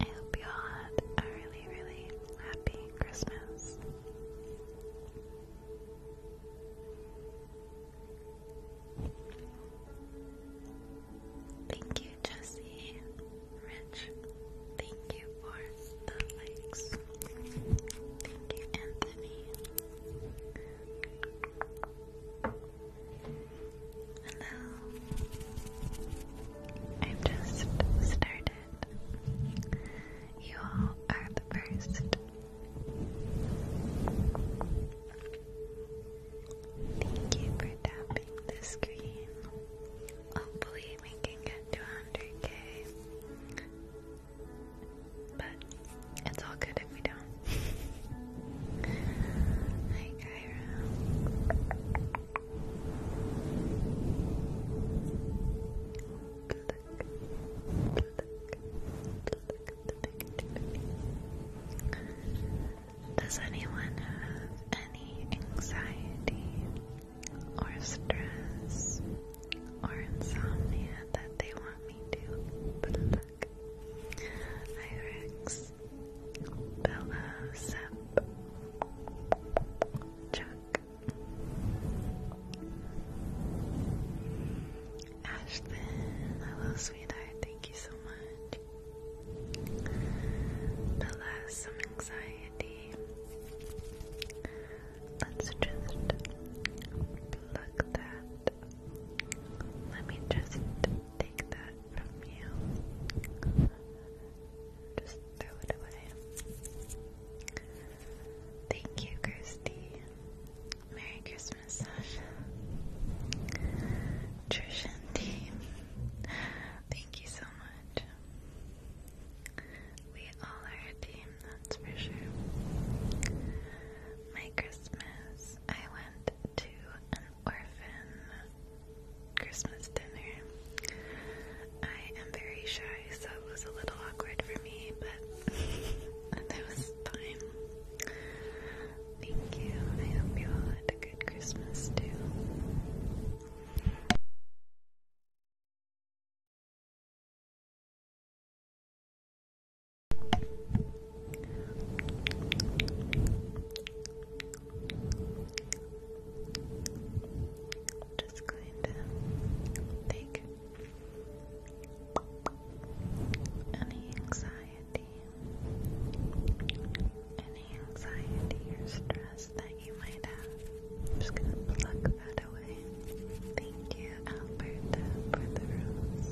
I hope you all had a really, really happy Christmas. Thank you, Jesse. Rich, thank you for the likes. Thank you, Anthony. Hello. I've just started. You all are the first. Thank you for tapping the screen. Hopefully, we can get to 100k. But it's all good if we don't. Hi, Kyra. Does anyone have any anxiety or stress or insomnia that they want me to pluck? I Bella Sep Chuck Ashton, hello sweetheart, thank you so much. Bella some anxiety. Let's just pluck that. Let me just take that from you. Just Thank you, Kirsty. Merry Christmas, Sasha. Trish and team, thank you so much. We all are a team, that's for sure. My Christmas, I went to an orphan Christmas dinner. I am very shy, so it was a little awkward for me, but that was fine. Thank you. I hope you all had a good Christmas too just going to take any anxiety, any anxiety or stress that you might have. just going to pluck that away. Thank you, Alberta, for the rose.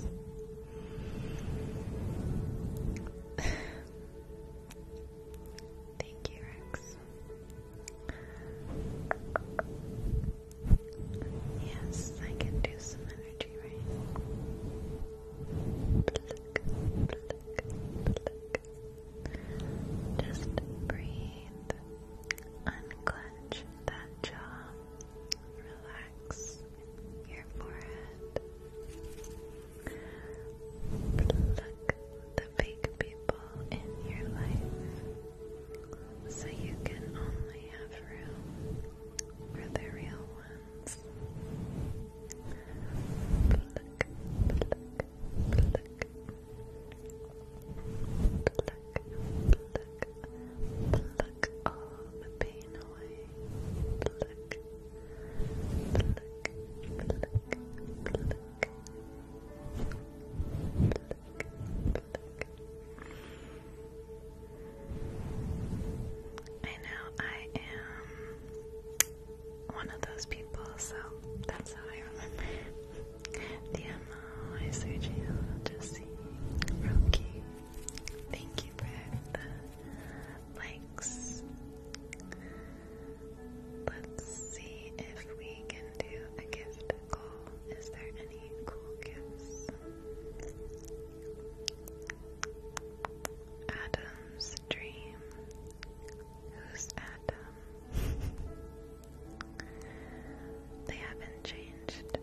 Thank you, Rex. Yes, I can do some energy rain. Just breathe. Unclench that jaw. Relax your forehead. Pluck the fake people in your life so you can only have room for the real ones. Pluck, pluck, pluck. Pluck, pluck, pluck all the pain away. Pluck, pluck, pluck, pluck, I know I am one of those people, so that's how I remember it. The MO, I Sergio, Jesse, Roki. Thank you for the likes. Let's see if we can do a gift call. Is there any cool gifts? Adam's dream. Who's Adam? they haven't changed the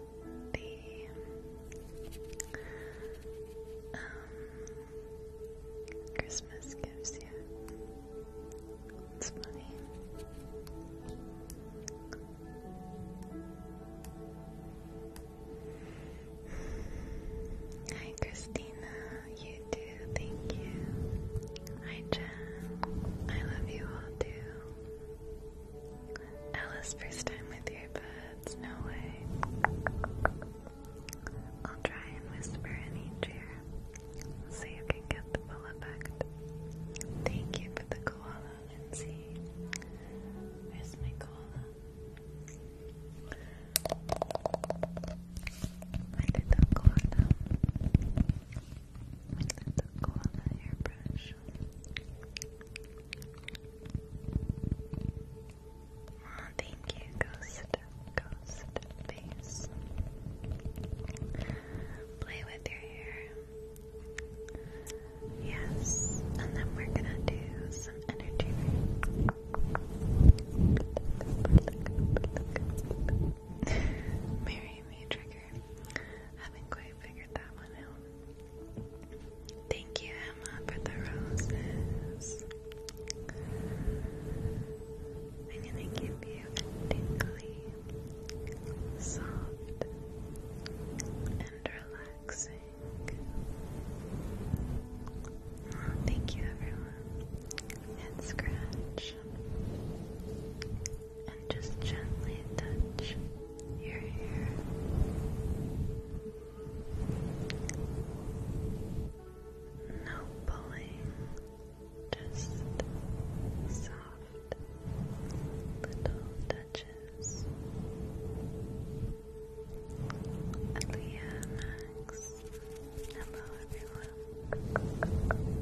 um, Christmas gifts yet. It's funny. Hi, Christina. You too. Thank you. Hi, Jen. I love you all too. Alice, first time with earbuds. No way. I'll try and whisper in each ear so you can get the full effect. Thank you for the koala, Lindsay. Where's my koala? My little koala. My little koala hairbrush. Oh, thank you, Ghost ghost face. Play with your hair. Yes, and then we're gonna do some energy. Marry me, Trigger. Haven't quite figured that one out. Thank you, Emma, for the roses. I'm gonna give you a tingly, soft, and relaxing. thank you, everyone. And scratch. And just gently touch your hair. No pulling. Just soft little touches. Aaliyah Max. Hello everyone.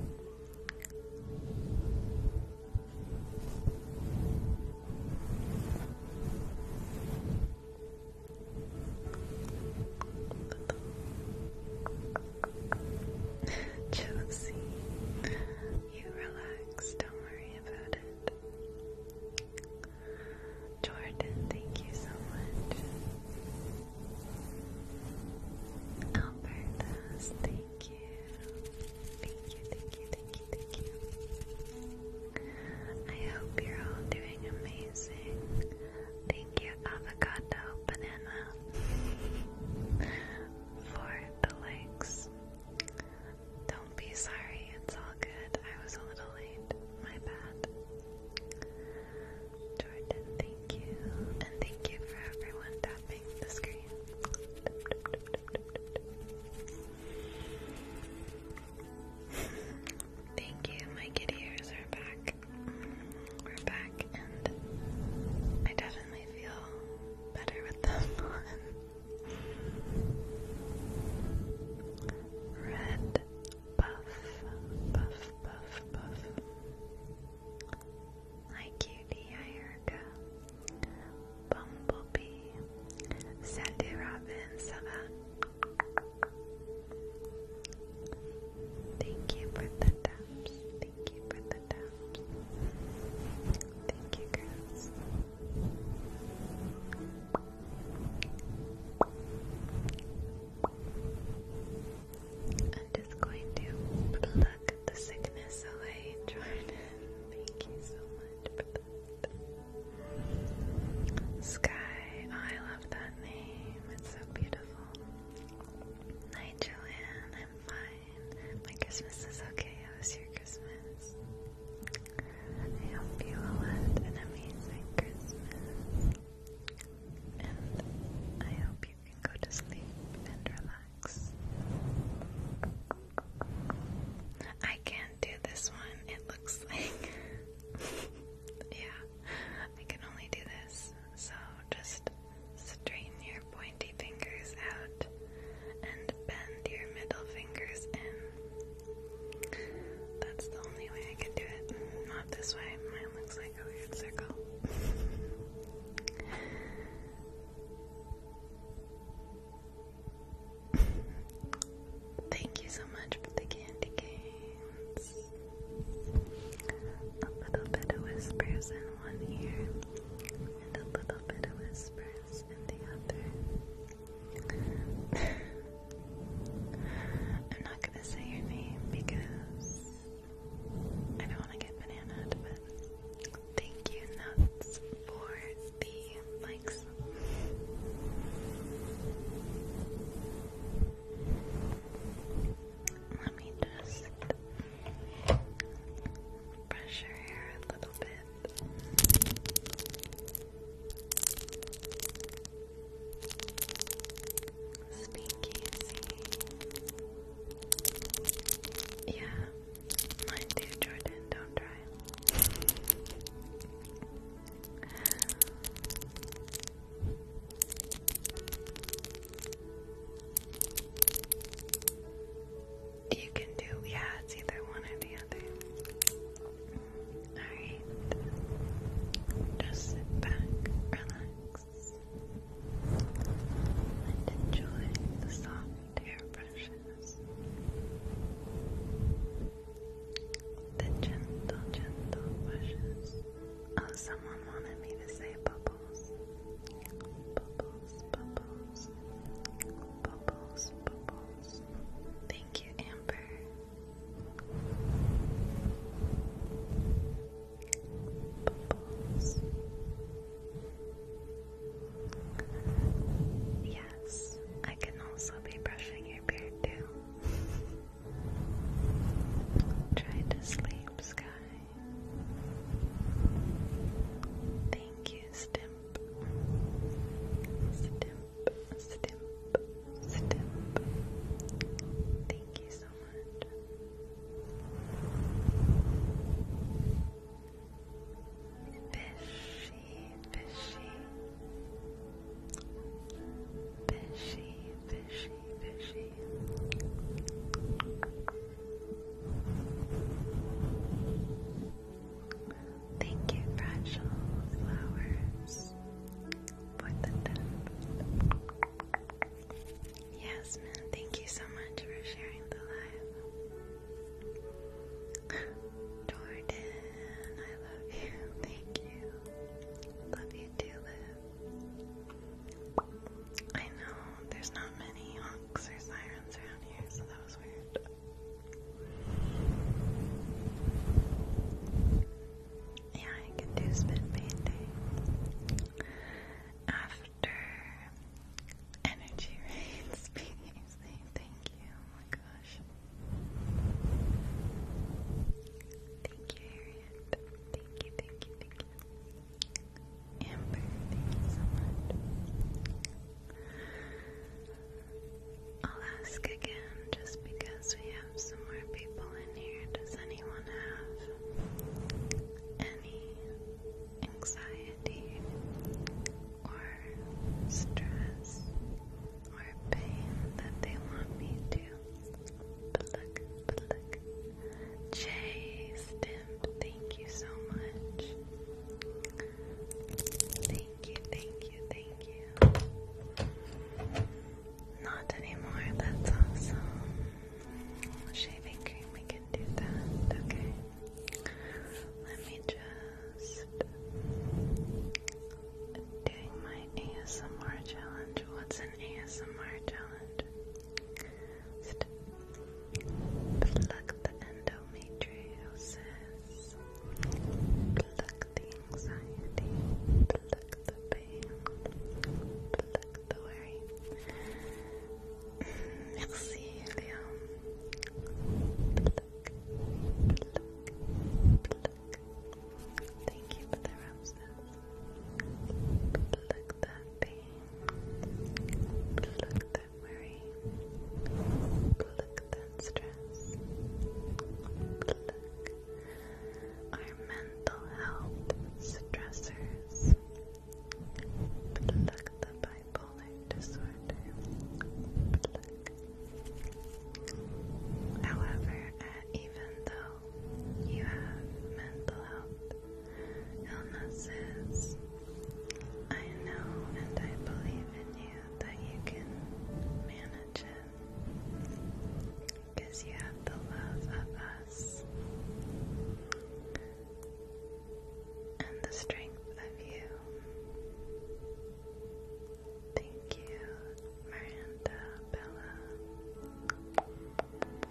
Josie, you relax, don't worry about it. Jordan, thank you so much. Albertus, thank you. Thank you, thank you, thank you, thank you. I hope you're all doing amazing. Thank you avocado banana for the likes. Don't be sorry, it's all good. I was a little late. My bad. Jordan, thank you. And thank you for everyone tapping the screen. Thank you, my kitty ears are back. We're back, and I definitely feel better with them on. Red buff, buff, buff, buff. Hi, cutie. Hi, Erica. Bumblebee. Sandy Robin. Sava. Uh-huh. Thank you for the dub. Thank you for the taps. Thank you, girls. I'm just going to pluck the sickness away, Jordan. Thank you so much Sky, I love that name. It's so beautiful. Hi Joanne, I'm fine. My Christmas is okay. How was your Christmas? I hope you all had an amazing Christmas. And I hope you can go to sleep and relax. I can't do this one, it looks like. yeah, I can only do this. So just Straighten your pointy fingers out and bend your middle fingers in. That's the only way I can do it. Not this way. Mine looks like a weird circle. Thank you so much for the candy canes. A little bit of whispers in one ear, and a little bit of whispers in the other. I'm not gonna say your name because I don't want to get bananaed, but thank you, Nuts, for the likes. Let me just brush your hair a little bit. Speak Yeah, mine too, Jordan. Don't try. You can do, yeah, it's either one or the other. Alright. Just sit back, relax, and enjoy the soft airbrushes. The gentle, gentle brushes. Oh, someone wanted me to say bubble bubbles, bubbles, bubbles, bubbles, bubbles. Thank you, Amber. Bubbles. Yes, I can also be brushing your beard too. Try to sleep, Sky. Thank you, Stimp. Stimp, Stimp, Stimp. Thank you so much. Fishy, fishy. Fishy, fishy, fishy. Thank you, Fragile Flowers, for the thank you so much for sharing the live. Jordan, I love you. Thank you. Love you too, Liv. I know, there's not many honks or sirens around here, so that was weird. Yeah, I can do spit after energy rains. Thank you, oh my gosh. Thank you, Harriet. Thank you, thank you, thank you. I'll ask again just because we have some more people in here. Does anyone have any anxiety or stress or pain that they want me to pluck, pluck, Jay Stimp, thank you so much. Thank you, thank you, thank you. Not anymore, that's awesome. Shaving cream, we can do that, okay. Let me just doing my ASMR challenge. What's an ASMR challenge? Just the endometriosis, pluck the anxiety, pluck the pain, pluck the worry. Merci, mm, Léon. Pluck, pluck, pluck. Thank you for the roses. Pluck that pain. Pluck that worry. Pluck that stress. Pluck our mental health stressors. Pluck the bipolar disorder. However, uh, even though you have mental health illnesses. I know and I believe in you that you can manage it because you have the love of us and the strength of you. Thank you, Miranda, Bella.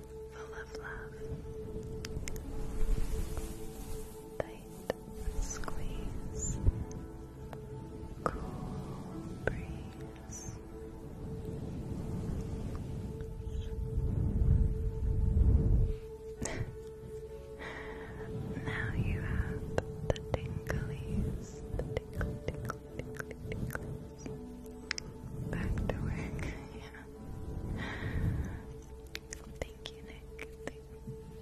full of love. Tight squeeze, cool breeze. now you have the tinglies, the tingle, tingle, tingle, tingle, Back to work. yeah. Thank you, Nick.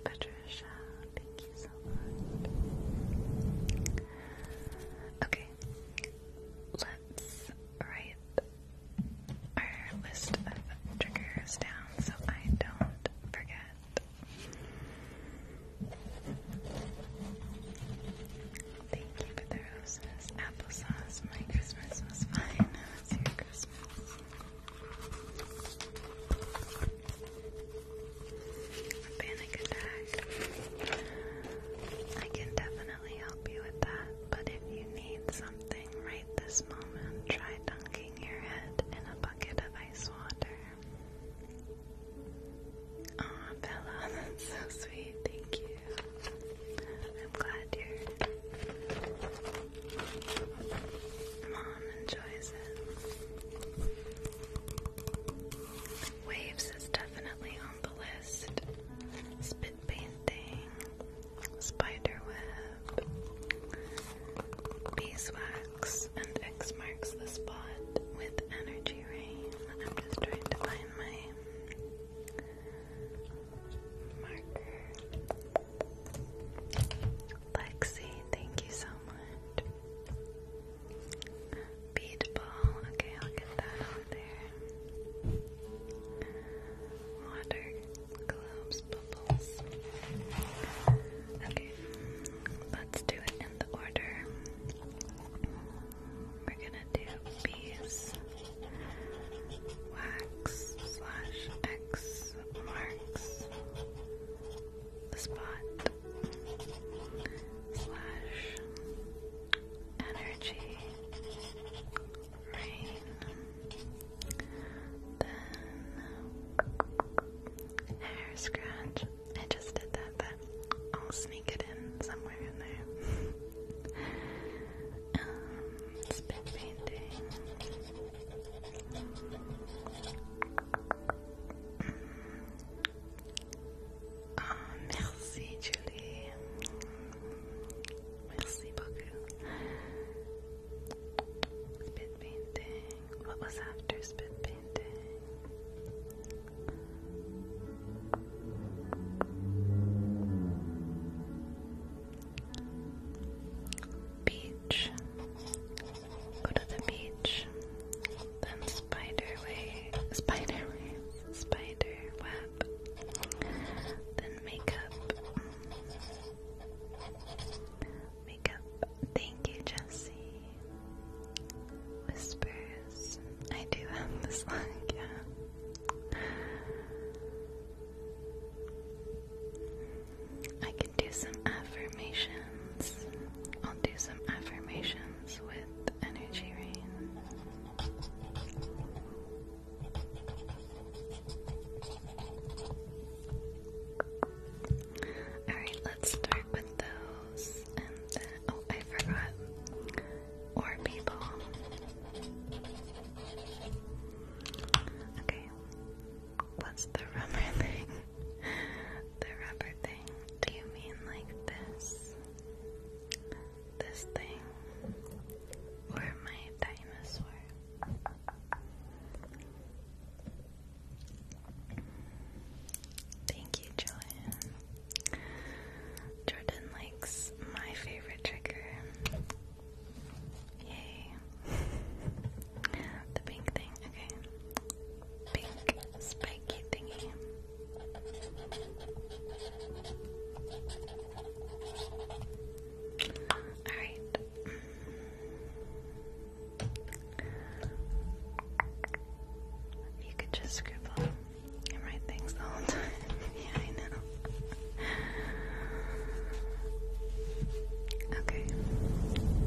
Patricia. Thank you so much. Okay. Let's write our list of triggers down so I don't forget. Thank you for the roses. Applesauce. My Christmas was fine. It's Christmas. A panic attack. I can definitely help you with that, but if you need something right this moment, try dunking your head in a bucket of ice water. oh, Bella, that's so sweet. Thank you. I'm glad your mom enjoys it. Waves is definitely on the list. Spit painting, spiderweb, beeswax, and X marks the spot with energy rain. I'm just trying to find my Lexi, thank you so much. Beat ball. Okay, I'll get that over there. Water, globes, bubbles. Okay, let's do it in the order we're gonna do bees wax slash X marks the spot slash energy rain then hair scratch. I just did that, but I'll sneak it in somewhere in there. Um, it's been painting. Mm. merci Julie. Merci beaucoup. Spit painting. What was after spit painting? Beach. Go to the beach. Then spiderway. Spider web. Then makeup. Makeup. Thank you, Jesse. Whispers. I do have this look, I can do some affirmations. I'll do some affirmations with energy rain. Alright, let's start with those. oh, I forgot. Or people. Okay, what's the rubber thing? the rubber thing. Do you mean like this? This thing? Or my dinosaur? Thank you, Jordan. Jordan likes my favorite trigger, Yay. the pink thing, okay. Pink spiky thingy. Alright. You could just scribble and write things the whole time yeah, I know. Okay,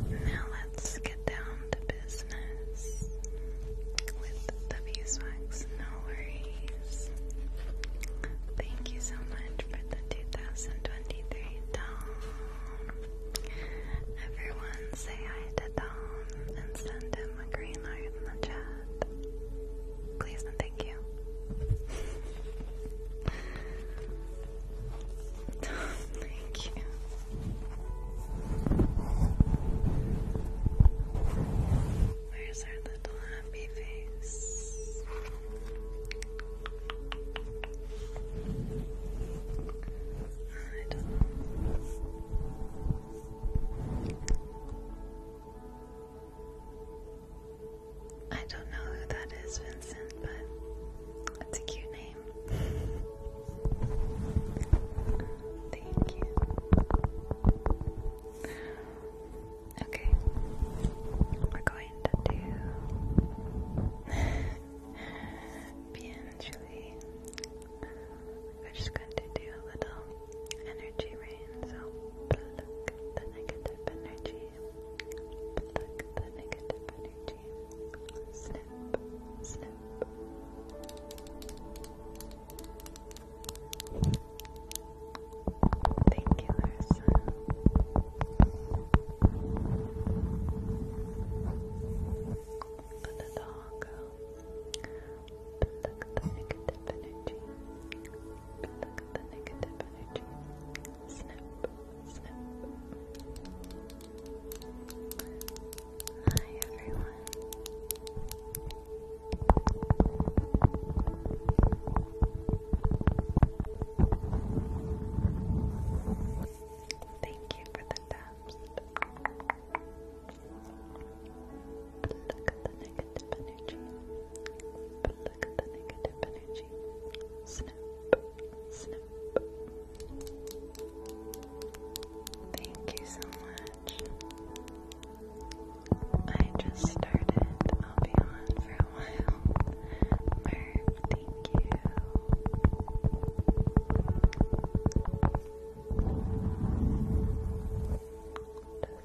now let's get down to business with the beeswax. No worries. Thank you so much for the 2023 Dawn. Everyone say hi to Dawn and send him a green heart in the chat. Please and thank you. thank you. Where's our little happy face? I don't know who that is, Vincent, but that's a cute name. Thank you. Okay, we're going to do bien, Julie. We're just going to do a little energy rain, so pluck the negative energy, pluck the negative energy, snip, snip. Thank you, Larissa. Let it the negative energy. Look at the negative energy. Snip, snip. Hi, everyone. Thank you for the time. Look at the negative energy. Look Thank you so much. I just started. I'll be on for a while. thank you.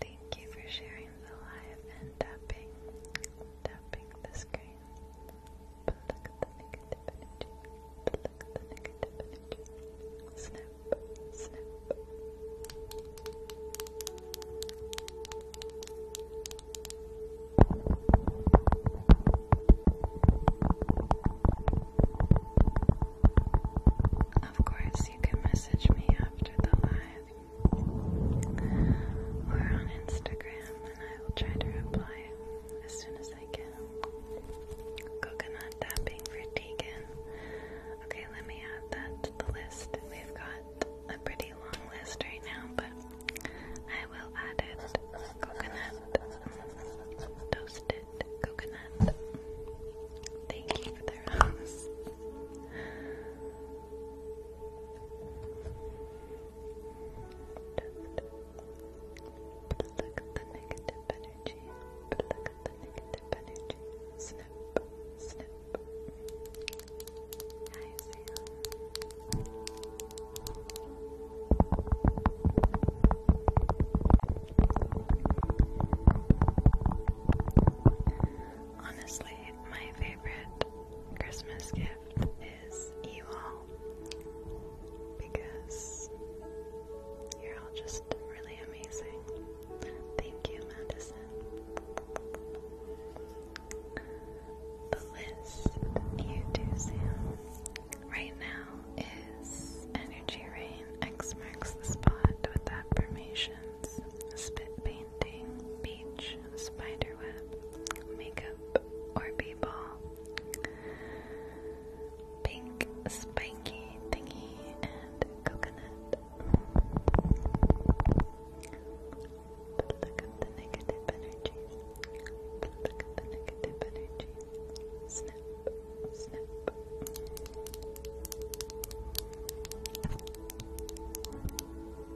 Thank you for sharing the live and tapping, tapping the screen. Snap, snap. Of course, you can message me after the live or on Instagram, and I will try to reply as soon as I can. Coconut tapping for Tegan. Okay, let me add that to the list. We've got a pretty long list right now, but I will add it. Coconut. Toasted coconut. Thank you for their look at the negative energy. Look at the negative energy. Snip, snip. Honestly, my favorite Christmas gift is you all because you're all just really amazing. Thank you, Madison. The list you do, Sam, right now is Energy Rain X marks the spot with affirmations, spit paint painting, beach, spiderweb, makeup, or b pink spiky thingy, and coconut. But look at the negative energy. look at the negative energy. Snap, snap.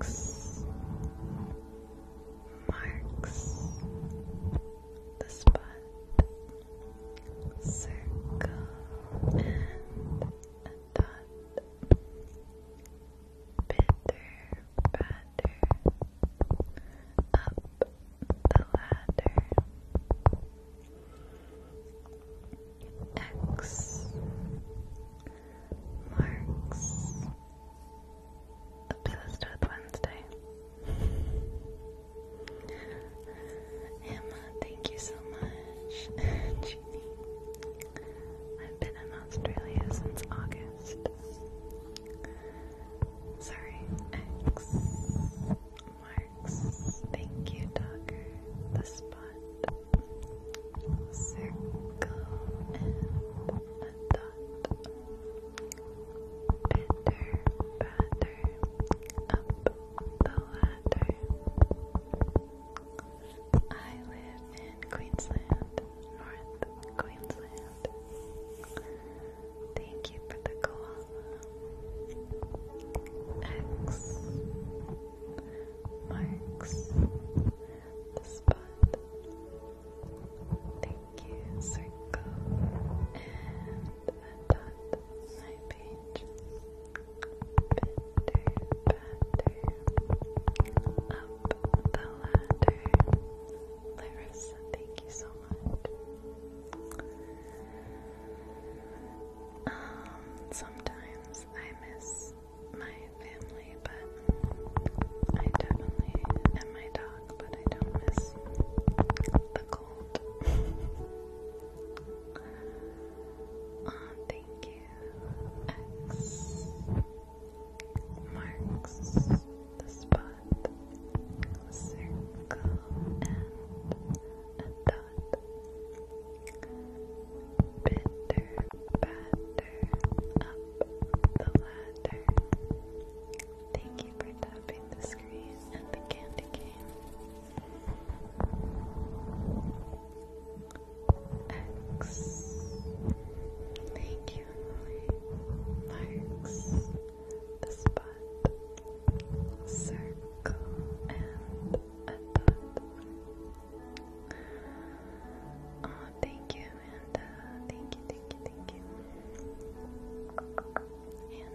X marks the spot. Circle and dot. up the ladder. X marks obsessed with Wednesday. Emma, thank you so much. Jeannie, I've been in Australia since August. Sorry, X marks. Thank you, Dogger. The spot. Circle and a dot. Pitter, patter, up the ladder. I live in Queensland, North Queensland. Thank you for the koala. X marks the spot. Thank you, circle and a dot. My page. Pitter patter up the ladder. Larissa, thank you so much. Um, sometimes I miss my family, but I definitely and my dog, but I don't miss the cold. oh, thank you. X marks the spot, circle, and a Bitter batter up the ladder. Thank you for tapping the screen and the candy cane. X. Thank you, Emily. the spot, circle, and thank you, and thank you, thank you, thank you. up the ladder.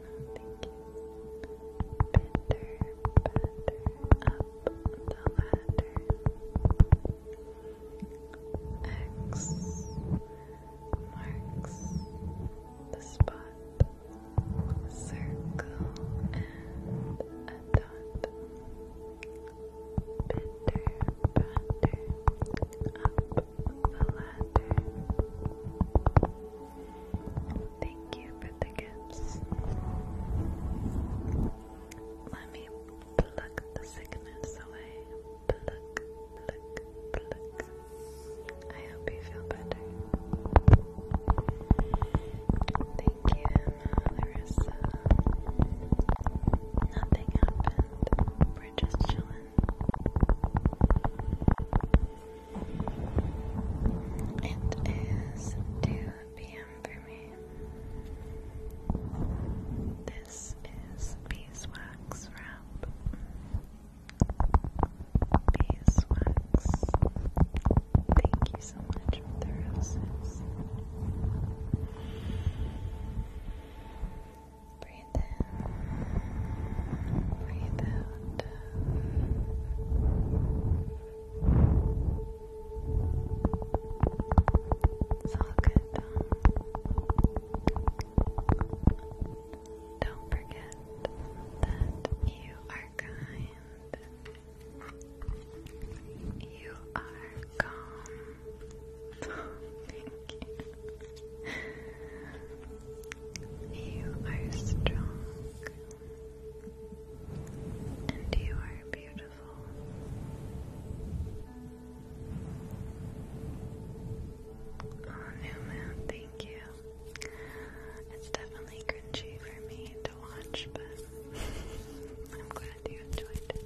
X marks the spot circle and a dot pitter patter up the ladder thank you for the gifts let me pluck the sickness away pluck, pluck, pluck I hope you feel better Thank you, Larissa. Nothing happened. We're just chilling. It is 2 p.m. for me. This is beeswax wrap. Beeswax Thank you so much for Breathe in, breathe out. It's all good, Don't forget that you are kind you are calm. you. are strong. And you are beautiful. Oh, Newman, thank you. It's definitely cringy for me watch, but I'm glad you enjoyed it.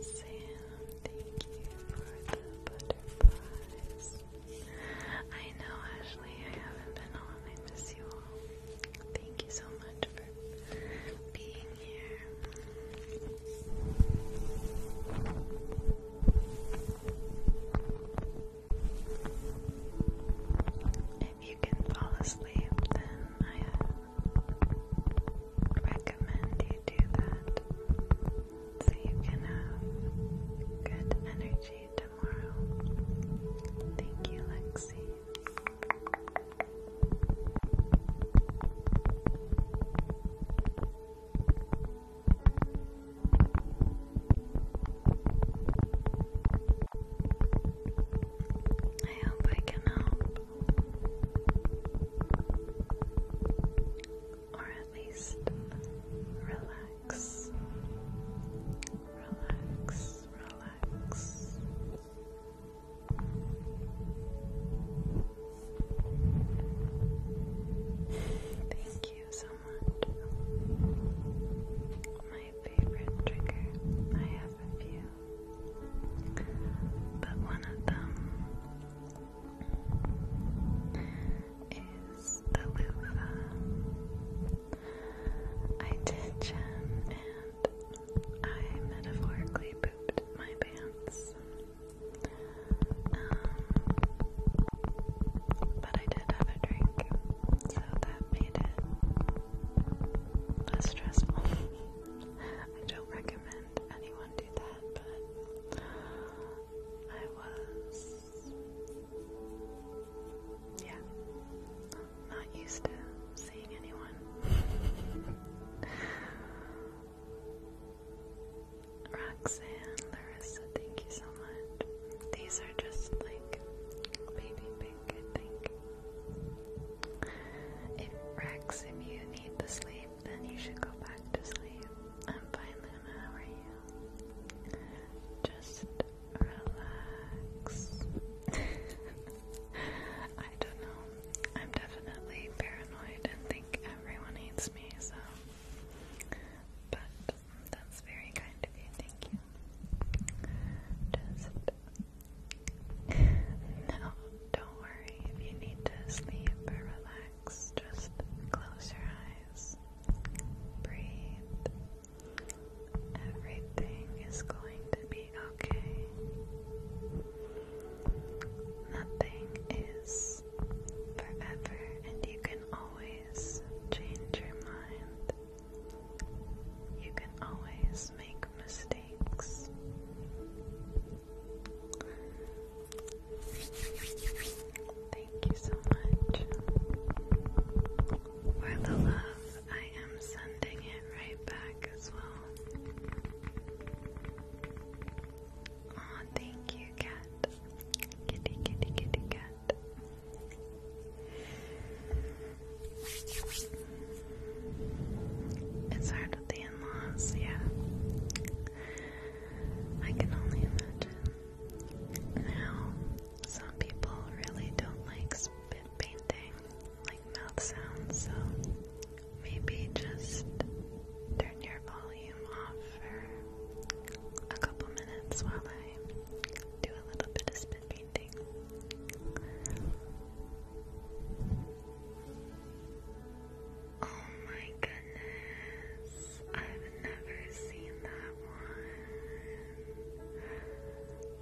Sam, thank you for the butterflies. I know, Ashley, I haven't been on. I miss you all. Thank you so much for being here. If you can fall asleep, then I recommend you do that so you can have good energy tomorrow. Thank you, Lexi. I hope I can help. Or at least relax. Relax, relax. Thank you so much. My favorite triggers. I have a few. But one of them is the loofah. I did gem and I metaphorically pooped my pants. Um, but I did have a drink so that made it less stressful. I don't recommend anyone do that, but I was, yeah, not used to seeing anyone. Roxanne, Larissa, thank you so much. These are just like baby, baby think, I If Rex, if you need to sleep, then you should go back to sleep. I'm fine, Luna, how are Just relax. I don't know. I'm definitely paranoid and think everyone hates me, so. But that's very kind of you, thank you. Just no, don't worry. If you need to sleep or relax, just close your eyes. Breathe. Everything is going to be okay. Nothing is forever, and you can always change your mind. You can always make mistakes. Thank you so much for the love. I am sending it right back as well. Aw, thank you, cat. Kitty, kitty, kitty, cat. It's hard with the in-laws, yeah. I can only imagine. Now, some people really don't like spit painting, like mouth sounds, so maybe just turn your volume off for a couple minutes while I do a little bit of spit Oh my goodness, I've never seen that one.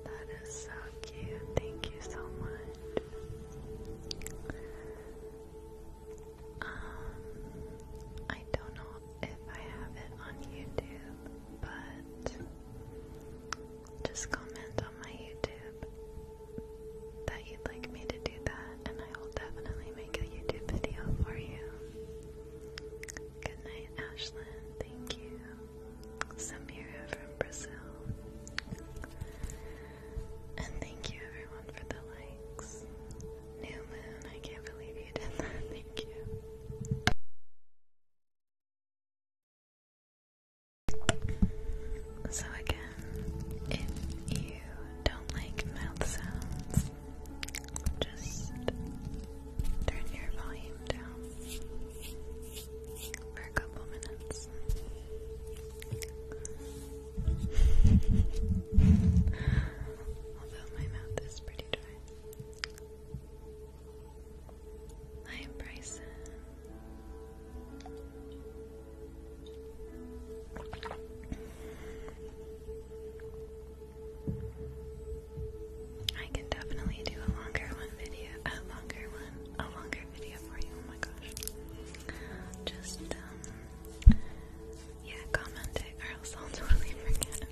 That is so cute. Thank you so much. Um, I don't know if I have it on YouTube, but just comment on my YouTube that you'd like me to do that, and I will definitely make a YouTube video for you. Good night, Ashlyn. Thank you. Samira from Brazil. And thank you everyone for the likes. New Moon, I can't believe you did that. Thank you. So, again, if you don't like mouth sounds, just turn your volume down for a couple minutes. Although my mouth is pretty dry. Hi, Bryson. I can definitely do a longer one video, a longer one, a longer video for you. Oh my gosh! Just um, yeah, comment it, or else I'll totally forget.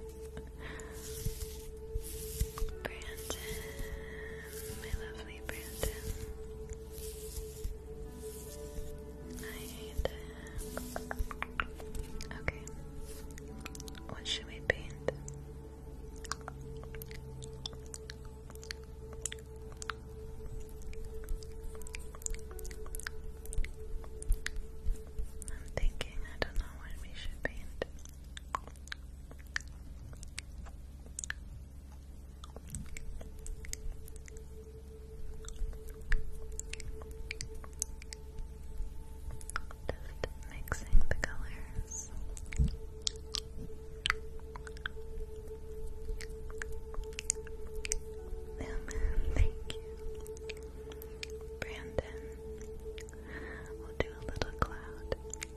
Brandon, my lovely Brandon. I hate him. Okay. What should we paint? I'm thinking, I don't know what we should paint. Just mixing the colors. Oh, thank you, Brandon. We'll do a little cloud.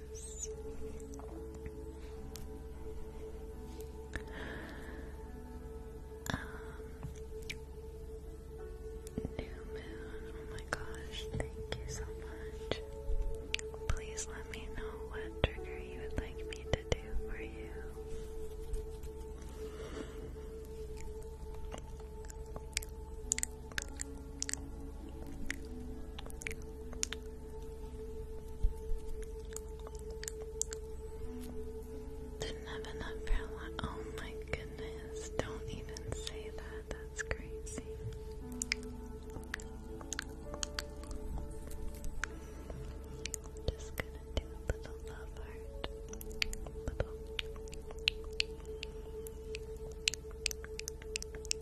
New Moon, oh my gosh, thank you so much. Please let me know what trigger you would like me to do for you. Didn't have Oh my goodness. Don't even say that. That's crazy. Just gonna do little love heart.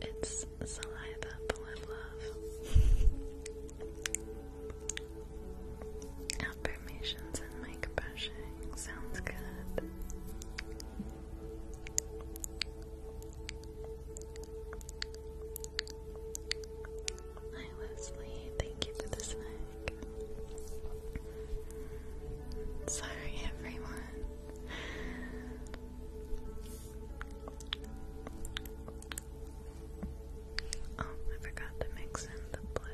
it's saliva full of love. Affirmations and mic brushing sounds good. Hi Leslie, thank you for the snack. Sorry everyone. Oh, I forgot to mix in the blue.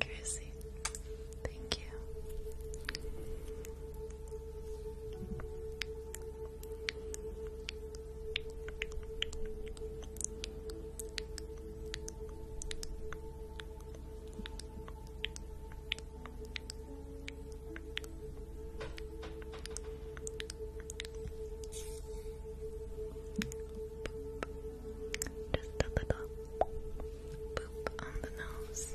Chrissy, thank you. Just a little poop on the nose.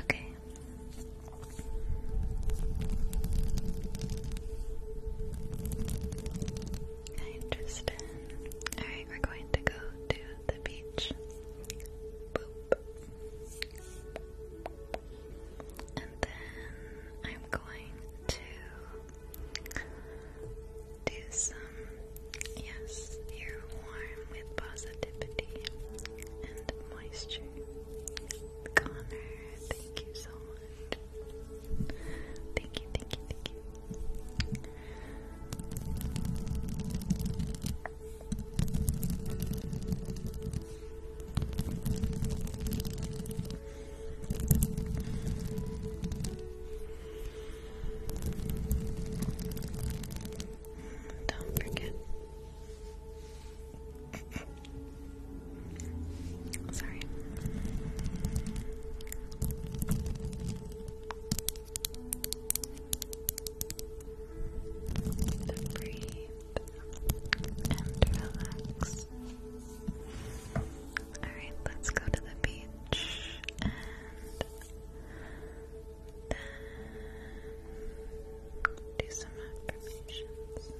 Okay, Interesting. Alright, we're going to go to the beach. Boop. And then I'm going to do some, yes, you're warm with positivity and moisture. Connor, thank you so much. Thank you, thank you, thank you. Don't forget. Sorry. Just breathe and relax. Alright, let's go to the beach and do some affirmations.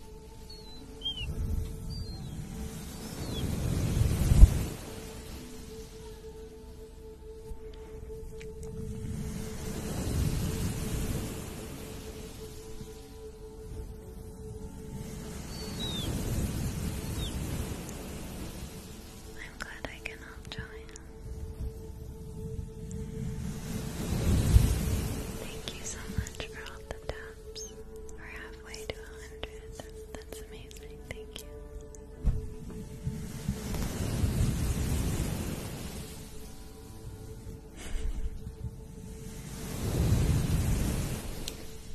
I'm glad I can help join. Thank you so much for all the taps. We're halfway to 100. That's amazing. Thank you.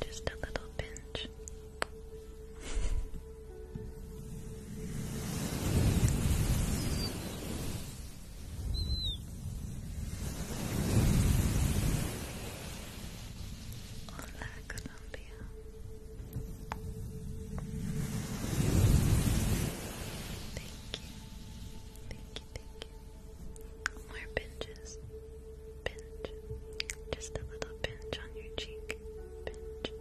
Just a little pinch. Hola, Colombia. Thank you. Thank you, thank you. More pinches. Pinch. Just a little pinch on your cheek. Pinch.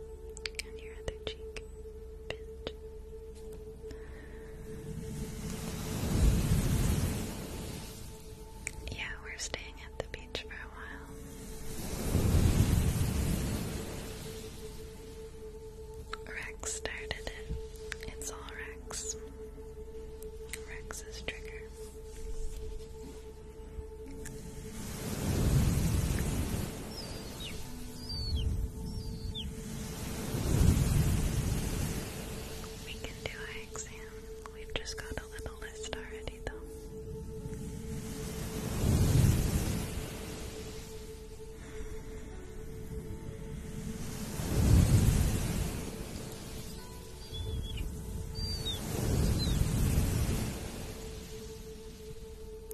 On your other cheek. Pinch. Yeah, we're staying at the beach for a while. Rex started it. It's all Rex. Rex's trigger. We can do our exam. We've just got a little list already, though.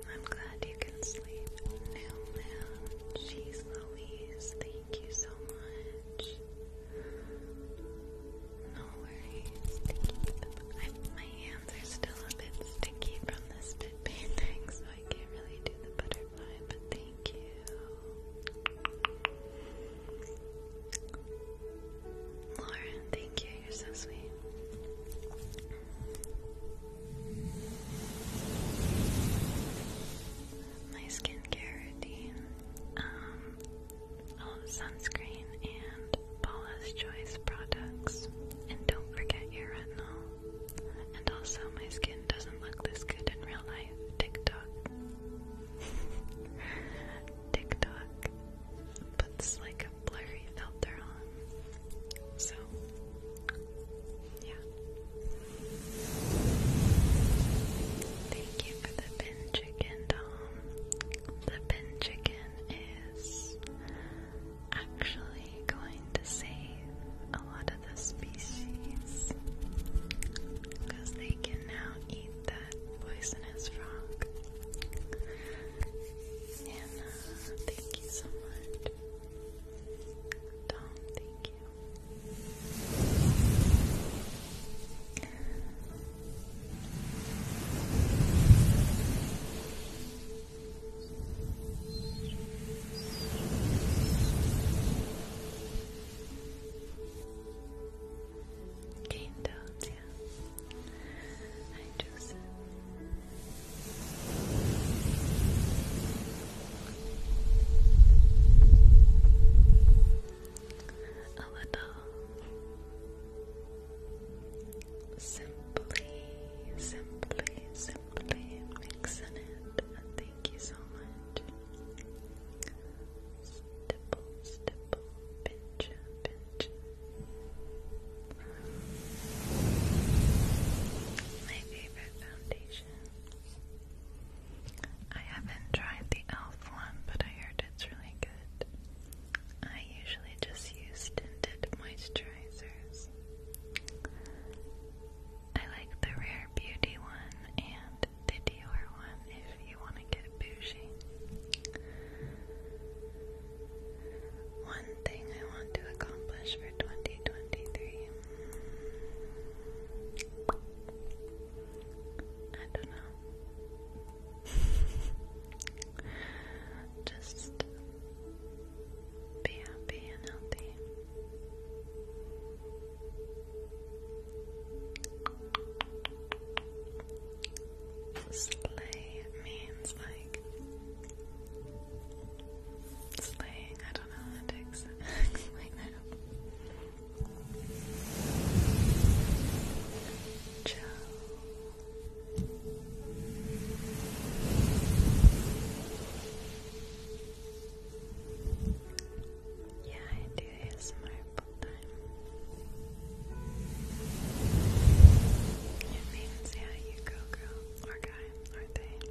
I'm glad you can sleep. Now, she's Louise, Thank you so much. No worries. my hands are still a bit sticky from this bit painting, so I can't really do the butterfly, but thank you. Lauren, thank you. You're so sweet my skincare routine, um, all sunscreen and Paula's Choice products, and don't forget your retinol. And also, my skin doesn't look this good in real life. TikTok, TikTok puts like a blurry filter on, so yeah. Thank you for the pin chicken, Tom. The pin chicken is actually going to save a lot of the species because they can now eat that poisonous frog. Anna, thank you so much. Tom, thank you. Cane toads, yeah. I choose a little simply, simply, simply mixing it. Thank you so much. Stipple, stipple, pinch, pinch. My favorite foundation. I haven't tried the e.l.f. one, but I heard it's really good. I usually just use tinted moisturizers. I like the Rare Beauty one and the Dior one if you want to get bougie. One thing I want to accomplish for 2023 I don't know. Just be happy and healthy. Slay means like slaying. I don't know how to explain that. Ciao. Yeah, I do ASMR full time. It means, yeah, you go girl, or guy, or they.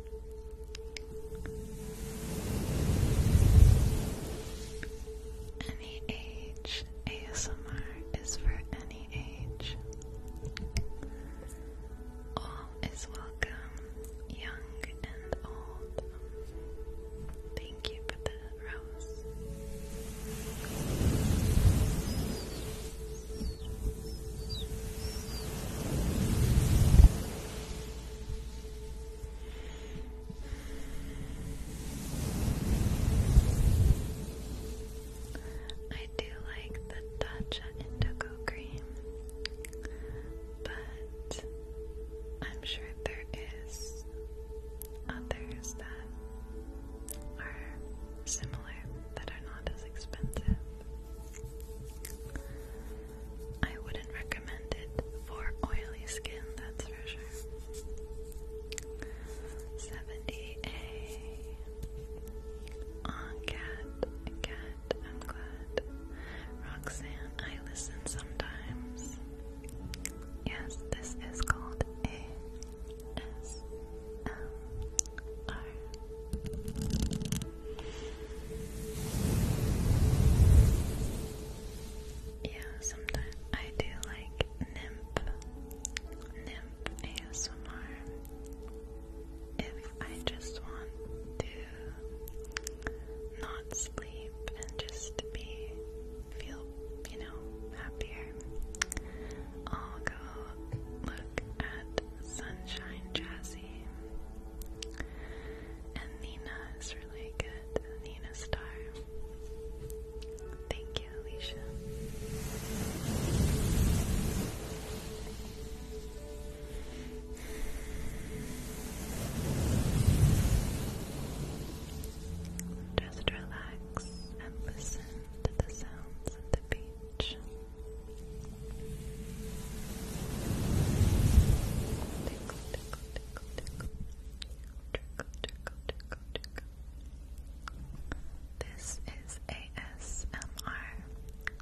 Any age ASMR is for any age. All is welcome, young and old. Thank you for the rose. I do like the Dacha Indigo Cream, but I'm sure there is others that are similar that are not as expensive. I wouldn't recommend it for oily skin, that's for sure. 70A. On cat, cat, I'm glad. Roxanne, I listen sometimes. Yes, this is called A S M R. Yeah, sometimes I do like nymph, nymph ASMR. If I just want to not sleep and just be feel, you know, happier, I'll go look at Sunshine Jazzy. And Nina is really good. Nina Star. Thank you, Alicia. Just relax and listen to the sounds of the beach. Tickle, tickle, tickle. This is ASMR,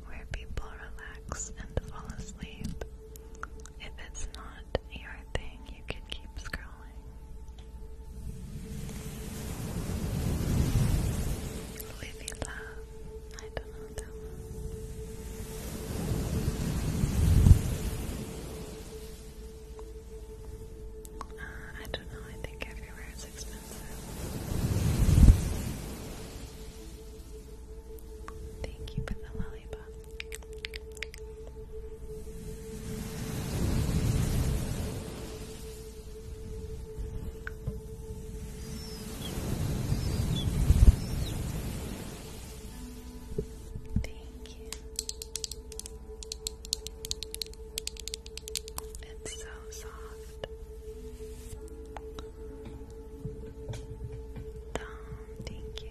where people relax and fall asleep. If it's not your thing, you can keep scrolling. Livy love, I don't know that one. I don't know, I think everywhere is expensive. Thank you for the lollipop. Thank Thank you. It's so soft. thank you.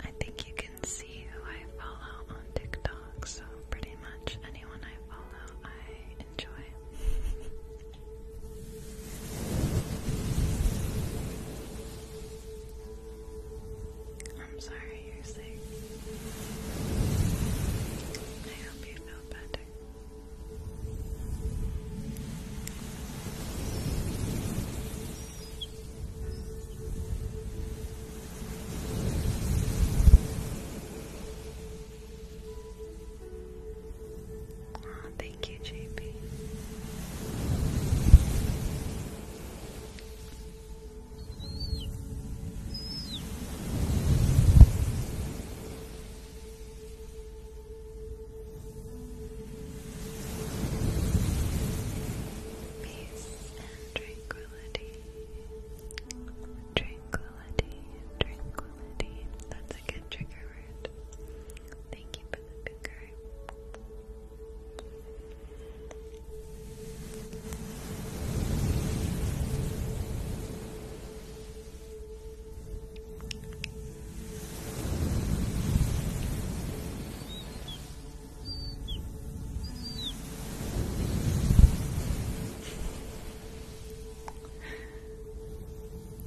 I think you can see who I follow on TikTok, so pretty much anyone I follow, I enjoy. I'm sorry you're sick. I hope you feel better. Oh, thank you, JP. Peace and tranquility. Tranquility, tranquility. That's a good trigger word. Thank you for the big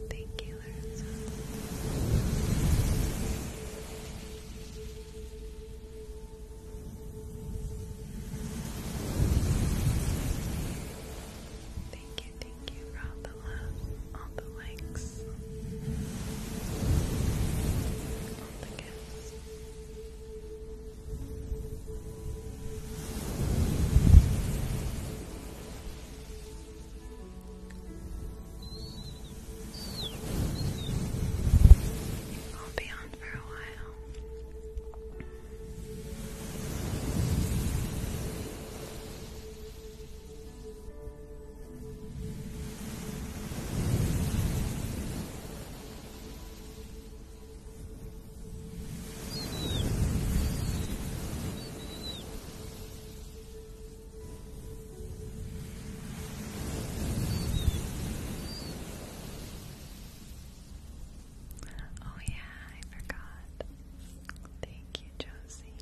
Thank you, Larissa. Thank you, thank you for all the love, all the likes, all the gifts. I'll be on for a while. Oh, yeah, I forgot. Thank you, Josie.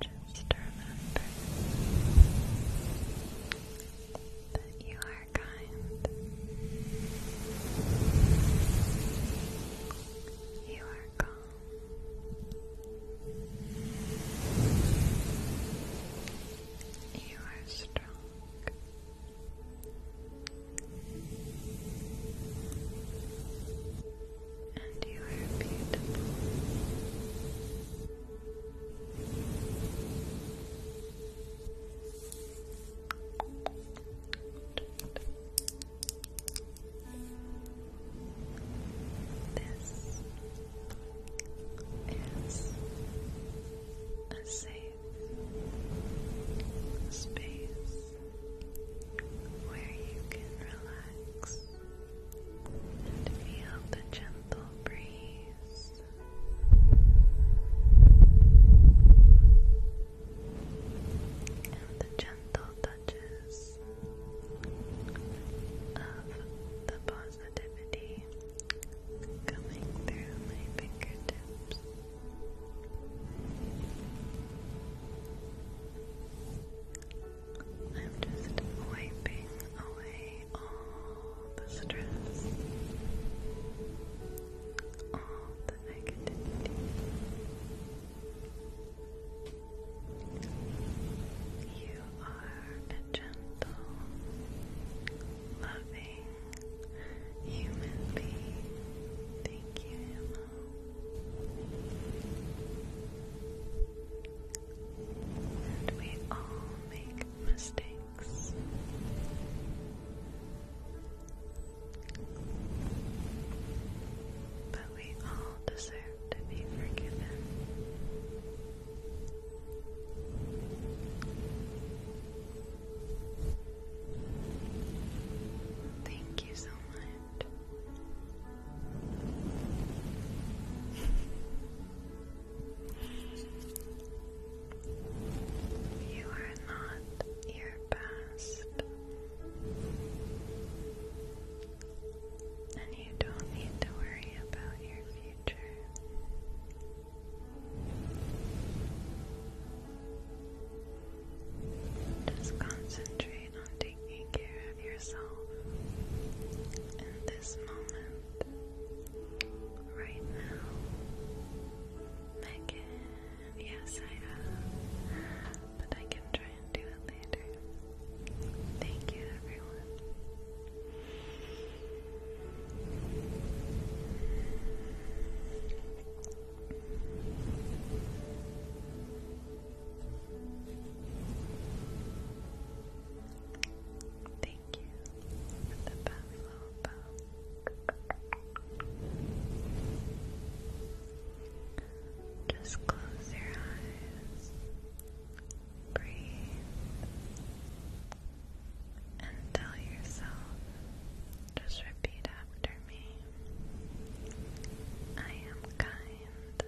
Just remember that you are kind. You are kind. You are strong. And you are beautiful. This is a safe space where you can relax and feel the gentle breeze. And the gentle of the positivity coming through my fingertips. I'm just wiping away all the stress, all the negativity. You are a gentle, loving human being. Thank you, And we all make mistakes. But we all deserve to be forgiven. Thank you so much. You are not your past. And you don't need to worry about your future. Just concentrate on taking care of yourself in this moment, right now. Megan, yes, I have, but I can try do it later. Thank you, everyone. Thank you for the buffalo bone. Just close your eyes, breathe, and tell yourself, just repeat after me. I am kind.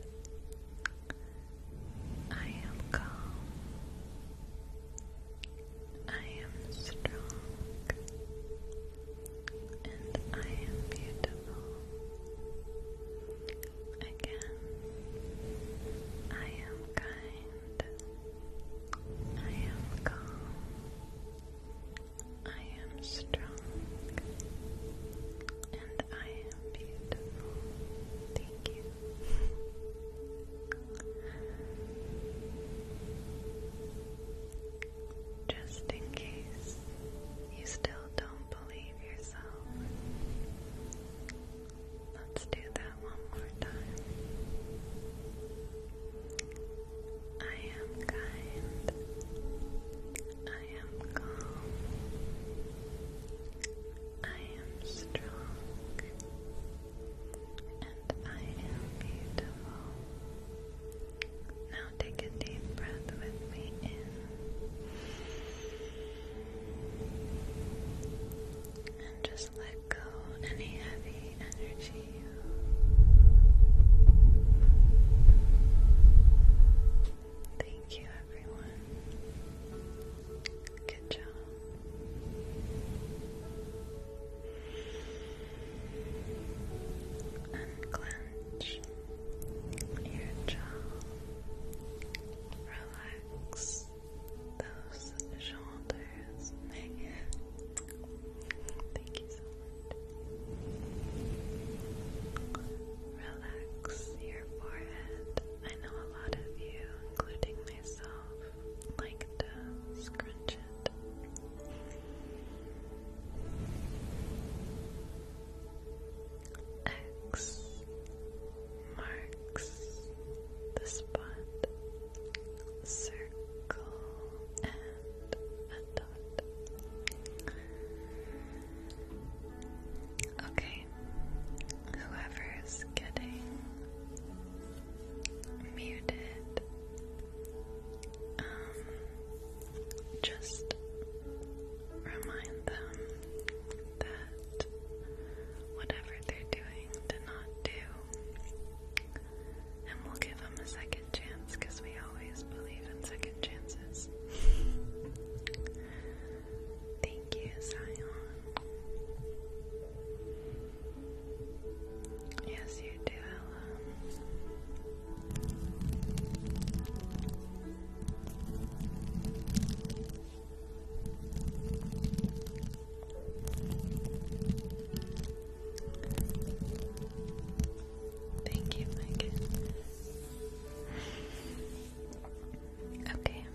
I am calm. I am strong and I am beautiful. Again, I am kind. I am calm. I am strong. And I am beautiful. Thank you. Just in case you still don't believe yourself. Let's do that one more time. I am kind. I am calm. I am strong. And I am beautiful. Now take a deep breath with me in and just let go any heavy energy. Thank you, everyone. Good job. And your jaw, relax those shoulders, Thank you so much. Relax your forehead. I know a lot of you, including myself, like to scrunch it. X marks the spot, circle and a dot. Okay, whoever's getting muted, um, just remind them that whatever they're doing to not do, and we'll give them a second chance because we always believe in second chances. Thank you, Zion. Yes, you do, Thank you, Megan. Okay,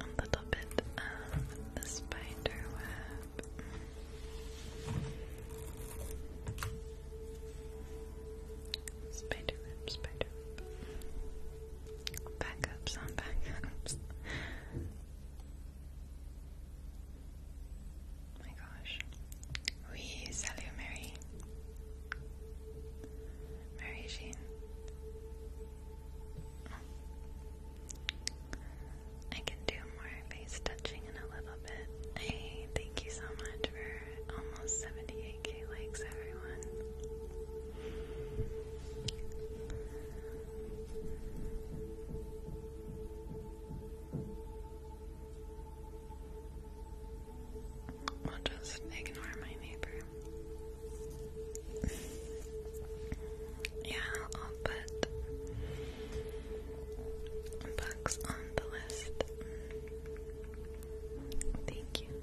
a little bit of the spider web. Spider spider web. Backups on backups. Oh my gosh. oui, salut Mary. Mary Jean. I can do more face touching in a little bit. Hey, thank you so much for almost 78 Pinky likes everyone. I'll just ignore my neighbor. yeah, I'll put bugs on the list. Thank you.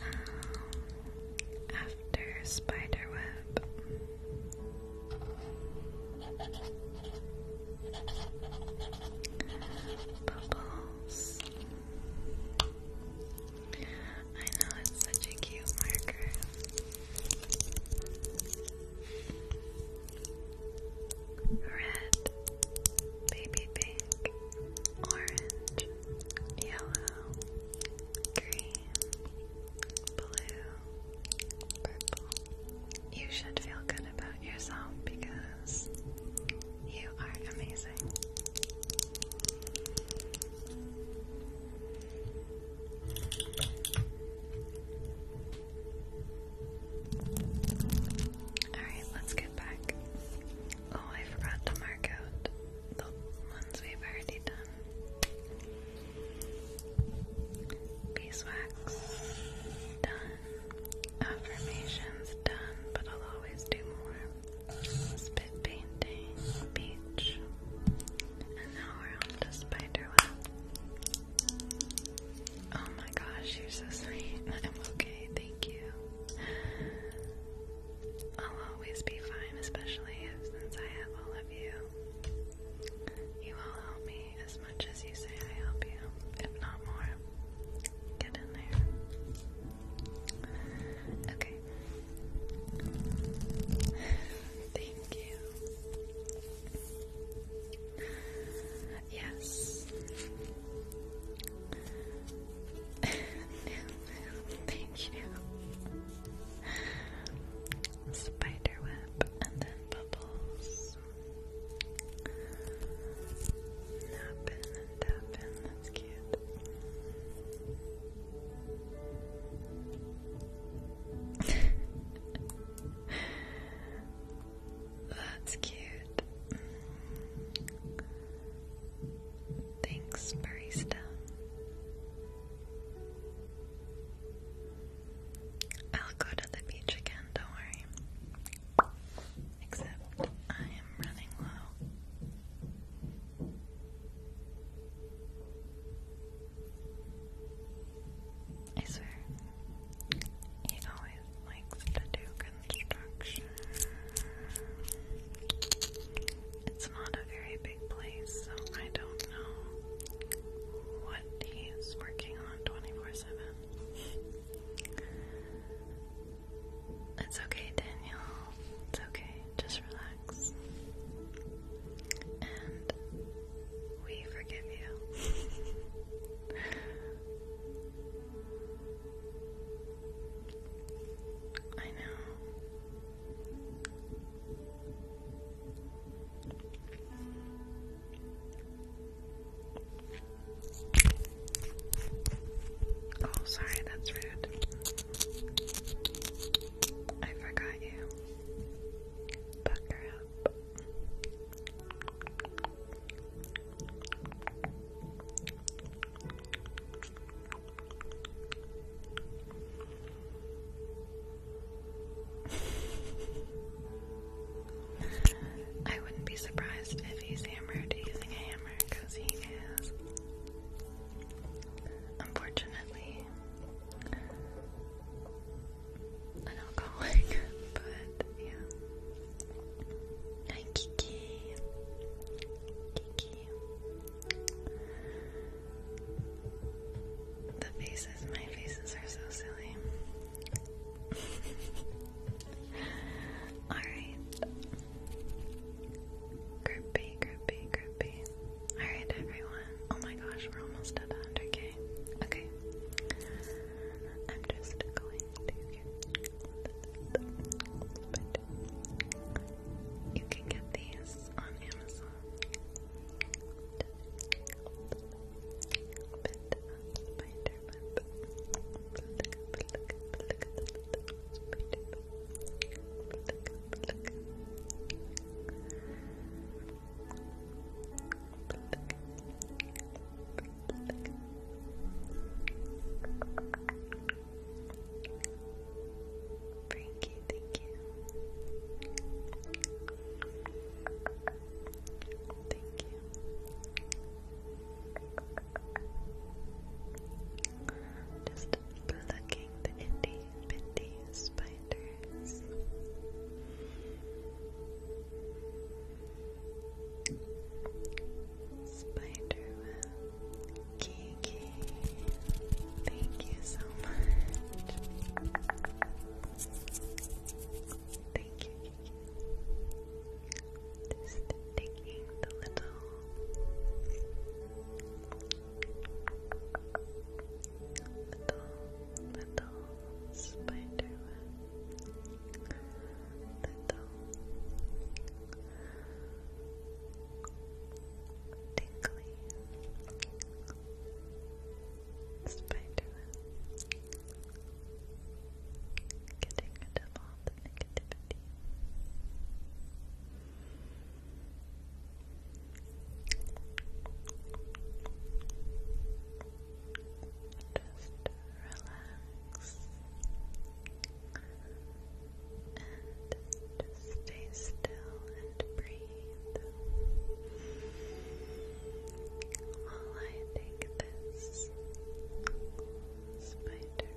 Um, after spiderweb. Bubbles. I know it's such a cute marker. Red baby baby orange, yellow, green, blue, purple. You should feel good about yourself because you are amazing. Alright, let's get back Oh, I forgot to mark out the ones we've already done. Beeswax done. Affirmations done, but I'll always do more. Spit painting, beach. And now we're on to spiderweb. Oh my gosh, you're so sweet. I'm okay, thank you. I'll always be fine, especially since I have all of you. You all help me as much as you say I help you, if not more. Get in there. Okay. Thank you. Yes. Thank you. Spiderweb and then bubbles. Nap in and tap in, that's cute. That's cute. Thanks, barista. I'll go to the beach again, don't worry. Except I am running low. I swear, he always likes to do construction. It's not a very place, so I don't know what he's working on 24 7. It's okay, Daniel. It's okay. Just relax. And we forgive you. I know. Oh, sorry, that's rude. I forgot you. Bucker up. I wouldn't be surprised if he's hammered using a hammer because he is. Unfortunately, an alcoholic, but yeah. Hi, Kiki. Kiki. The faces, my faces are so silly. Alright. Grippy, grippy, grippy. Alright, everyone. Oh my gosh, we're almost at 100k. Okay. I'm just going to card. You can get these on Amazon. Frankie, thank you. Thank you. Just plucking the itty bitty spiders. Spider Kiki, thank you so much. Thank you, Just taking the little little little spider Little tingly Spiderman getting rid of all the negativity just relax and stay still and breathe while I take this spider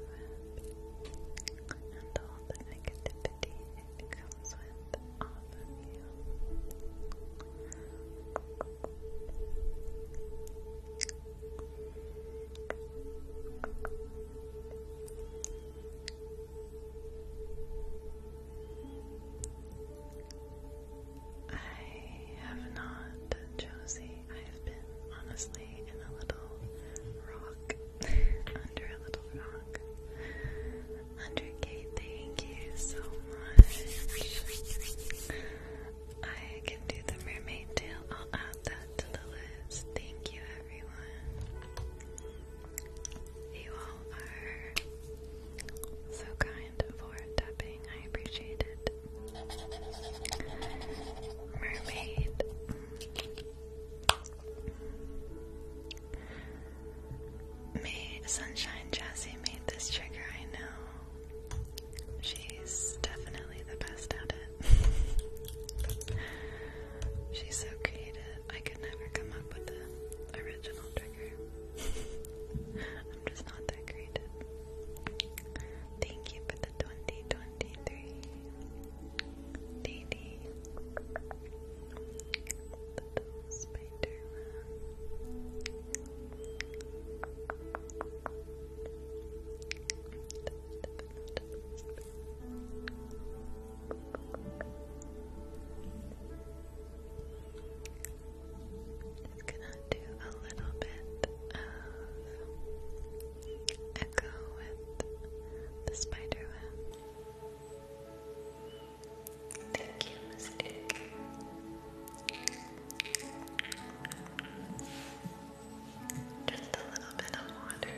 and all the negativity it comes with off of you. I have not, Josie. I've been honestly in a little rock, under a little rock. Under Kate, thank you so much. I can do the mermaid tail. I'll add that to the list. Thank you, you all are so kind for tapping. I appreciate it. Mermaid. May Sunshine Jazzy made this trigger, I know. She's definitely the best at it. She's so creative could never come up with an original trigger. I'm just not that creative. Thank you for the 2023. Dee Dee. spider just gonna do a little bit of echo with the spider Thank you, Mystic. Just a little bit of water.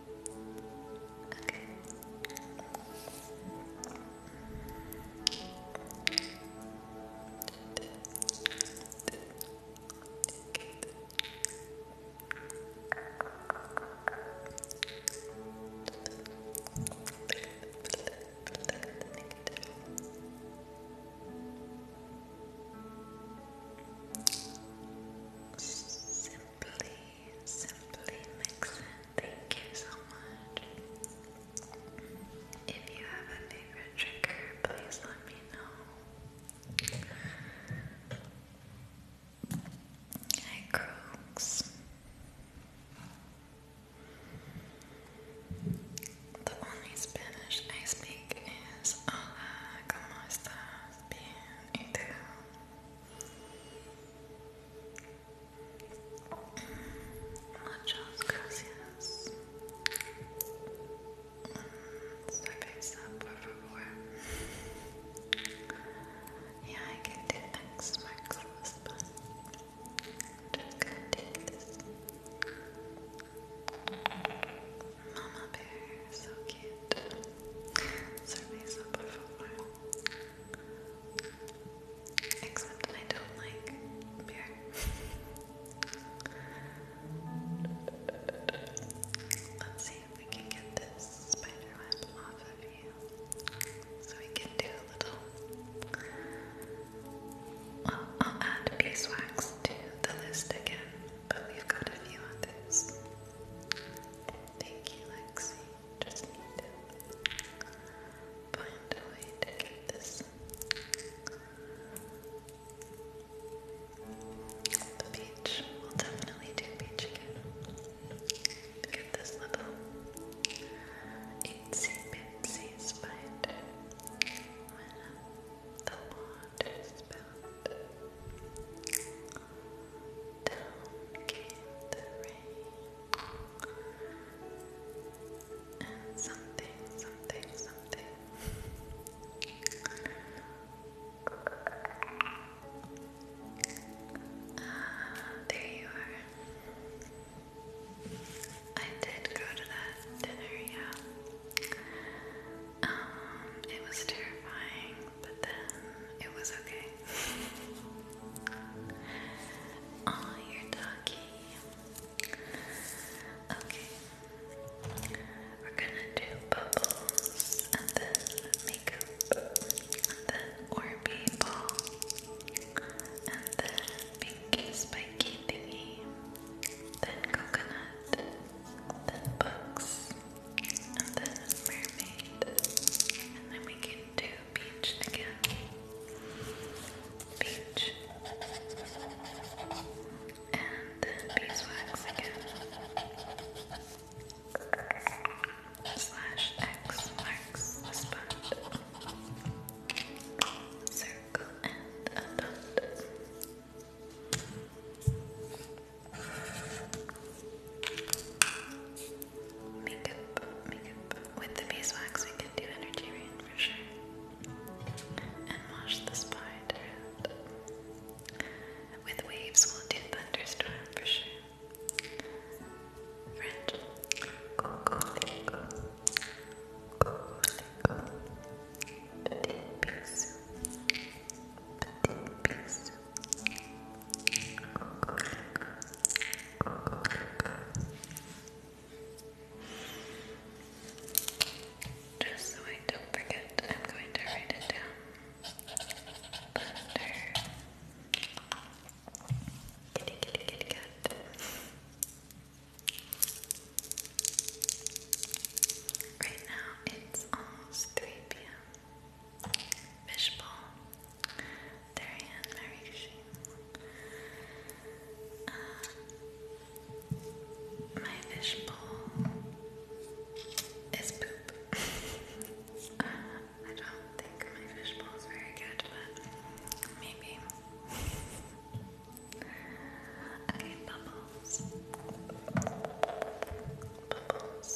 Okay. Simply Simply Mix Thank you so much. If you have a favorite trigger, please let me know. Hi, Crooks. The only Spanish I speak is Hola, ¿cómo estás? Bien, ¿y tú? Muchas gracias. Cerveza, por favor. Yeah, I can do next Mark's but just this. Mama Bear, so cute. Cerveza, por favor. Except I don't like beer. Let's see if we can get this spider off of you. So we can do a little. I'll add beeswax to the list again, but we've got a few others. Thank you, Lexi just need to find a way to get this the beach, will definitely do beach again get this little itsy bitsy spider when the water is down came the rain Something, something, something. Ah, there you are. I did go to that dinner, yeah. Um, it was terrifying, but then it was okay. Oh, your doggy. Okay. We're gonna do bubbles and then makeup and then Orbeez ball and then pinky spiky thingy. Then coconut, then books, and then mermaid, and then we can do beach again. Beach. And beeswax again. Slash X marks the spot. Circle and a dot. With the beeswax, we can do energy rain for sure. And wash the spine around. With waves, we'll do thunderstorm for sure. French. Just so I don't forget, I'm going to write it down. Butter. Kitty, kitty, kitty, cat. Right now it's almost 3 p.m. Fishbowl Darian Marikshi. Um, my fishbowl is poop. I don't think my fishbowl is very good, but maybe. okay, bubbles. Bubbles.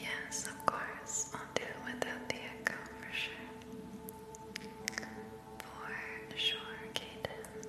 Yes, of course. I'll do it without the echo for sure. For sure, Kaden.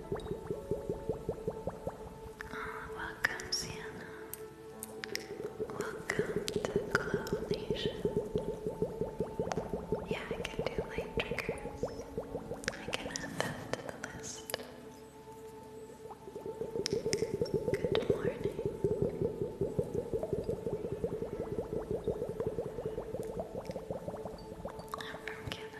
Ah, welcome, Sienna. Welcome to Glow Yeah, I can do light triggers. I can add that to the list. Good morning. I'm from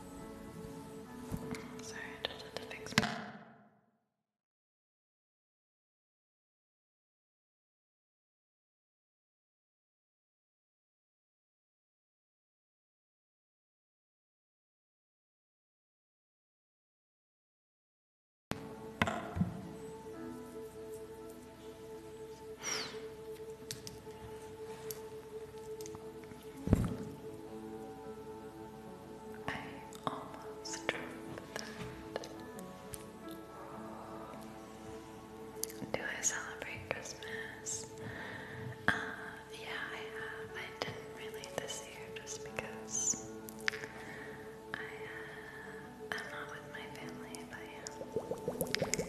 Sorry, I just had to fix my I almost dropped Do I celebrate Christmas? Uh, yeah, I have. I didn't really this year just because uh, I'm not with my family, but yeah.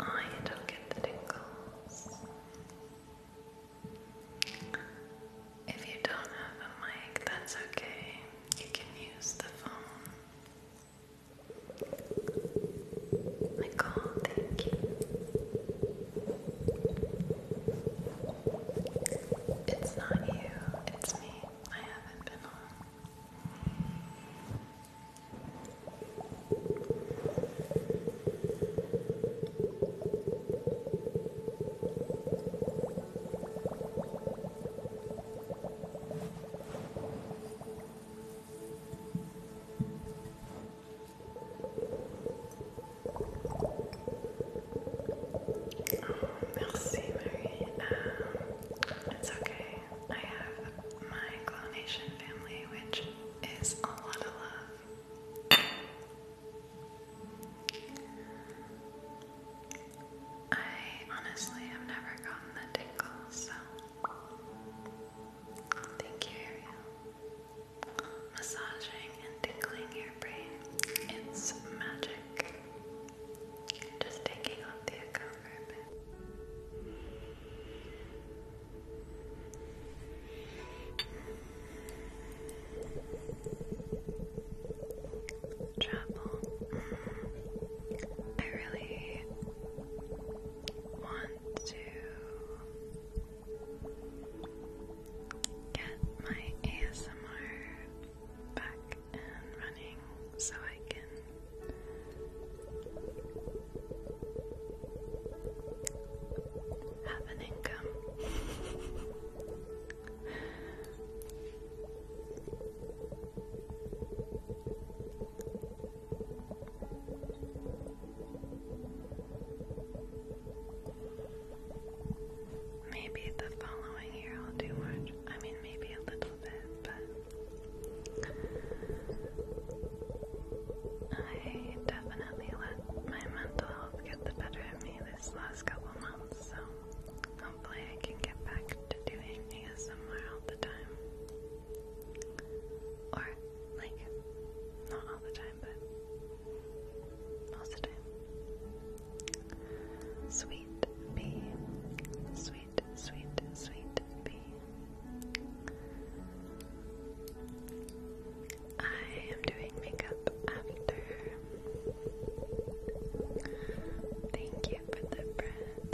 I don't get the tingles. If you don't have a mic, that's okay. You can use the phone. Nicole, thank you. It's not you, it's me. I haven't been on. Oh, merci, Marie. Um, it's okay. I have my clonation family, which is a lot of love. I honestly have never gotten the tingles, so thank you, Ariel. Massaging and tickling your brain, it's magic. Just taking off the account for Travel. I really want to get my ASMR back and running so I can have an income. Maybe the following year I'll do more. I mean, maybe a little bit, but I definitely let my mental health get the better of me this last couple months, so hopefully I can get back to doing ASMR all the time. Or, like, not all the time, but most of the time. Sweet bee. Sweet, sweet, sweet bee. I am doing makeup after. Thank you for the bread.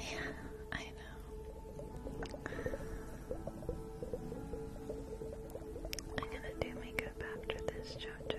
Yeah, I know. I'm gonna do makeup after this, JoJo.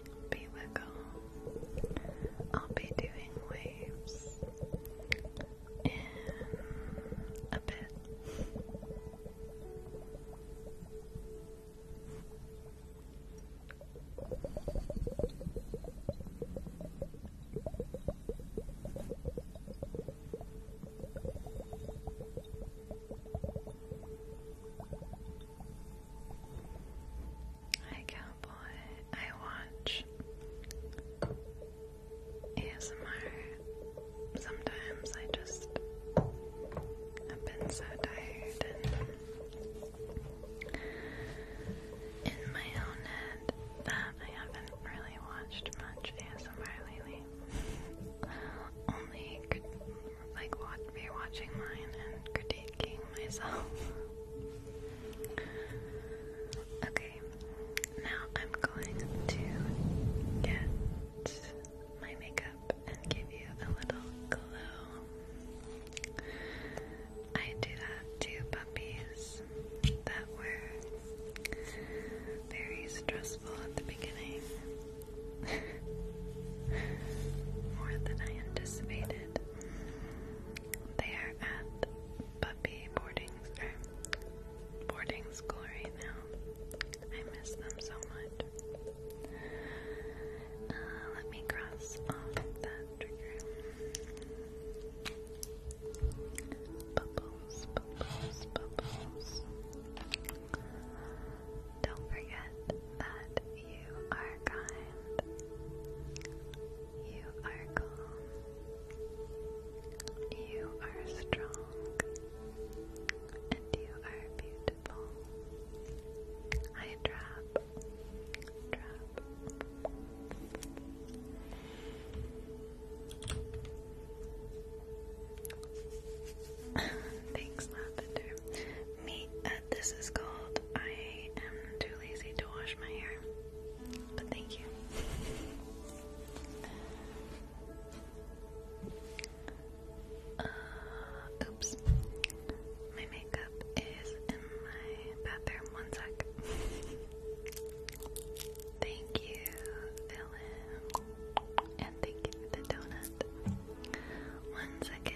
be wiggle. I'll be doing waves in a bit. Hi, cowboy. I watch ASMR. Sometimes I just have been so tired and in my own head that I haven't really watched much ASMR lately. Only like rewatching mine and critiquing myself. Okay, now I'm going to get my makeup and give you a little glow. I do that to puppies that were very stressful at the beginning. More than I anticipated. They are at puppy boarding school right now. I miss them so much. Uh, let me cross off that trigger. Bubbles, bubbles, bubbles. Don't forget that you are kind. You are calm. You are strong. And you are beautiful. I drop. Thanks, Lavender. Me, uh, this is called. I am too lazy to wash my hair. But thank you. Uh, oops. My makeup is in my bathroom. One sec. thank you, Dylan. And thank you for the donut. One second.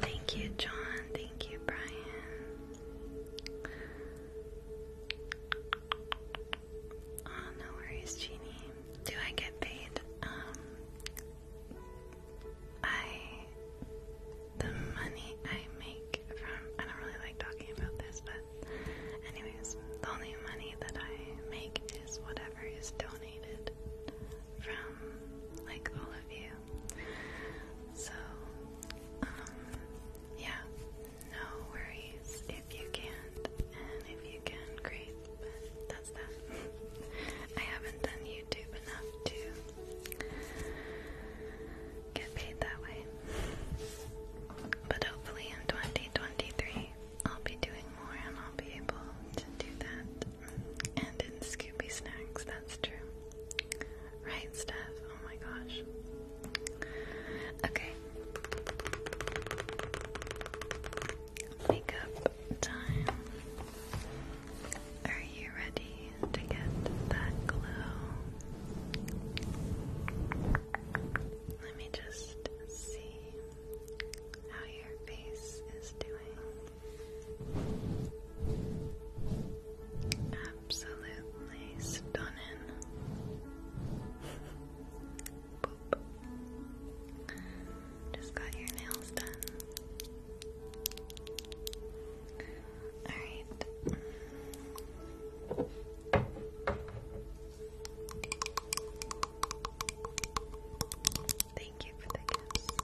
Thank you, John. Thank you, Brian. Oh, no worries, Jeannie. Do I get paid? I, um, the money I make from, I don't really like talking about this, but anyways, the only money that I make is whatever is donated from, like, all of you. So, um, yeah, no worries if you can and if you can, great, but that. I haven't done YouTube enough to get paid that way. But hopefully in 2023, I'll be doing more and I'll be able to do that. And in Scooby Snacks, that's true. Right, Steph? Oh my gosh. Okay. Makeup time. Are you ready to get that glow? Let me just see how your face is doing. Absolutely stunning. Just got your nails done. Alright. Thank you for the gifts.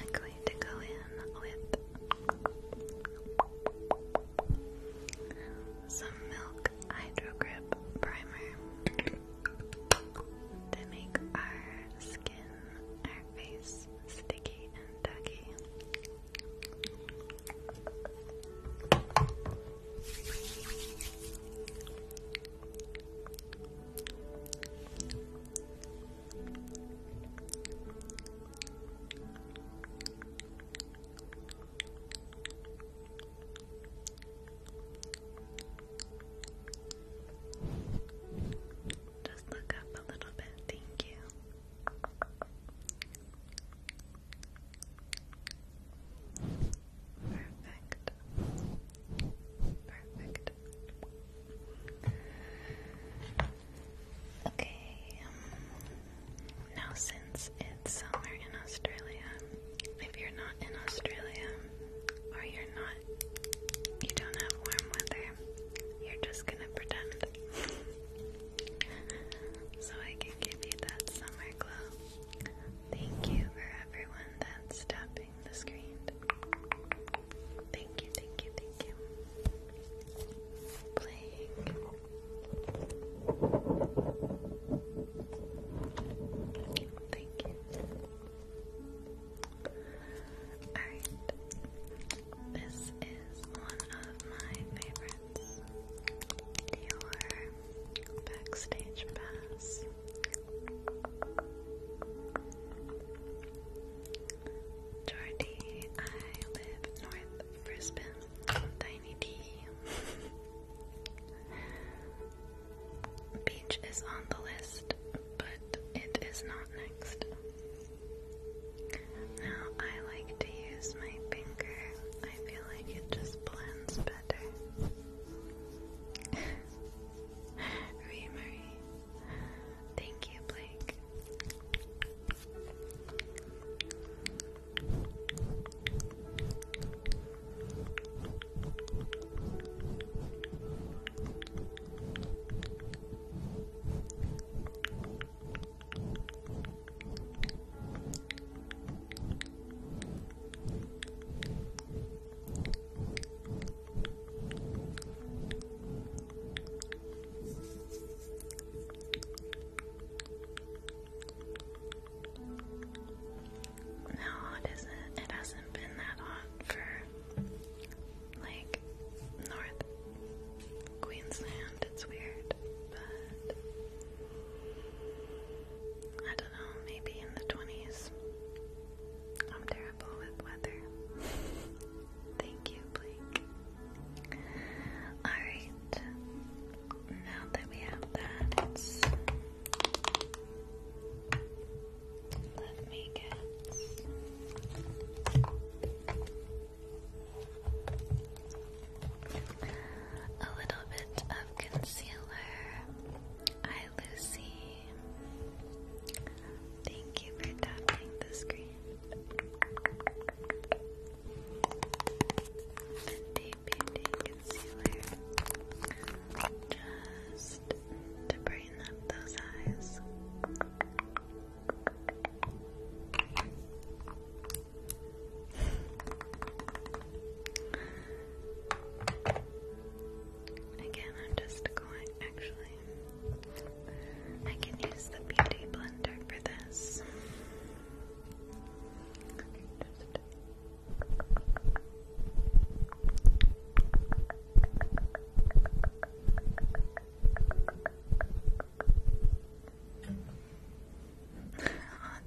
I'm going going to go in with some Milk Hydro Primer to make our skin, our face sticky and ducky. Just look up a little bit, thank you. Perfect. Perfect. Okay, um, now since it's summer in Australia, if you're not in Australia or you're not, you don't have warm weather, you're just gonna pretend. so I can give you that summer glow. Thank you for everyone that's tapping the screen. Thank you, thank you, thank you. Playing. Thank you. Alright. This is one of my favorites. Your backstage pass. Jordy, I live north of Brisbane. Tiny D. Beach is on the list, but it is not next. Now I like to use my finger. I feel like it just blends better. Read Thank you, Blake. No, it isn't. It hasn't been that hot for like North Queensland. It's weird, but I don't know. Maybe in the twenties. I'm terrible with weather. Thank you, Blake. Alright, now that we have that, Let me get. A little bit of concealer. Hi, Lucy. Thank you for tapping the screen. Fenty Beauty Concealer just to brighten up those eyes. Again, I'm just going actually. I can use the beauty blender for this.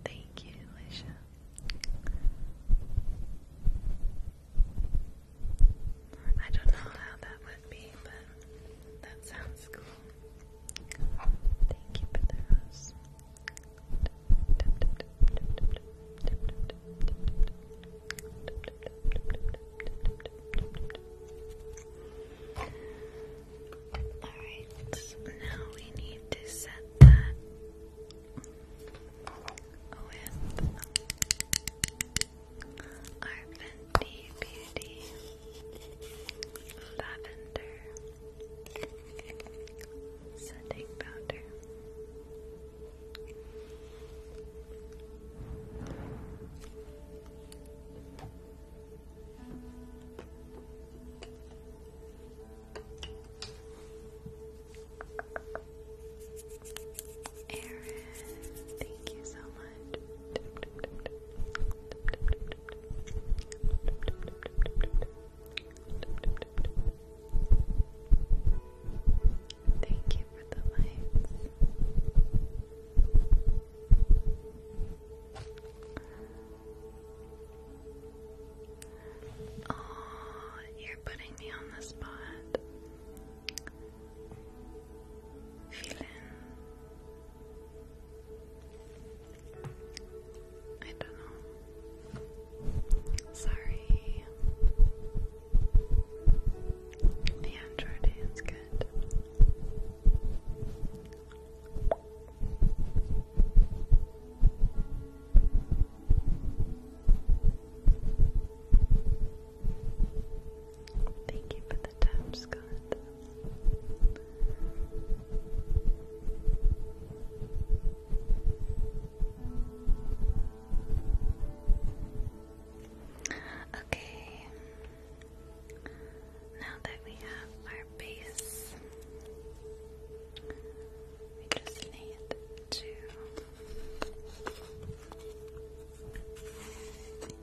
thank you, Alicia. I don't know how that would be, but that sounds cool. Thank you for the rose. Alright, now we need to set that with our Fenty Beauty Lavender Setting Powder. Erin Thank you so much. Thank you for the lights. Oh, you're putting me on the spot. Vielen I don't know. Sorry. The Android is good. Thank you for the time, Scott. Okay, now that we have our base, we just need to I'm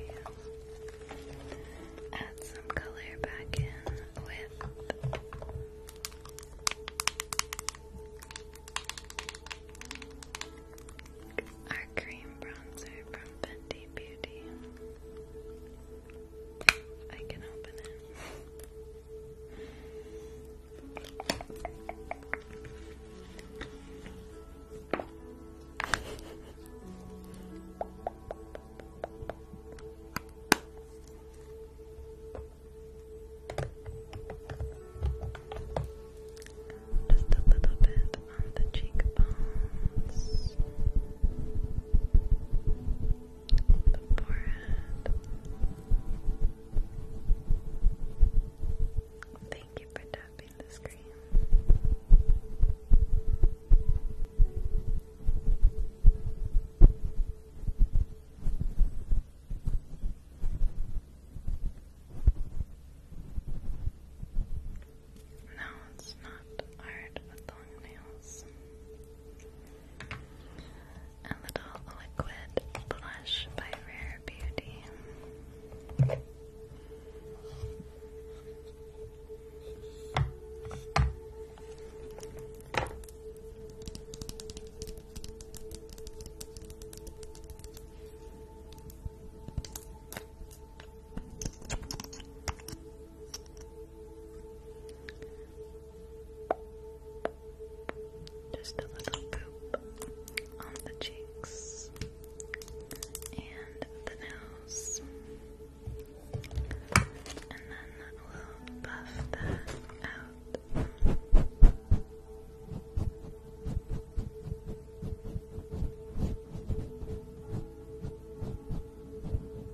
you? Add some color back in with our cream bronzer from Fenty. Sleepy Beauty. I can open it. Just a little bit the cheekbones, the forehead. Thank you for tapping the screen. No, it's not art with long nails. A little liquid blush by Rare Beauty. Just a little goop on the cheeks and the nose, and then we'll buff that out.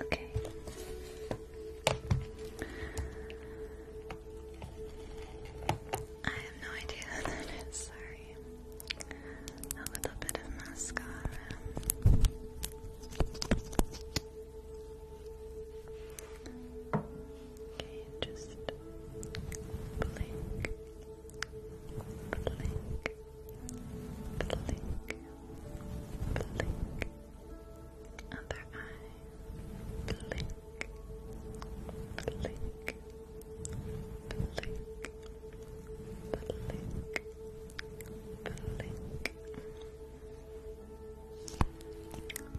Okay. I have no idea who that is, sorry. A little bit of mascara. Okay, just blink, blink, blink, blink. Other eye, blink, blink, blink, blink, blink.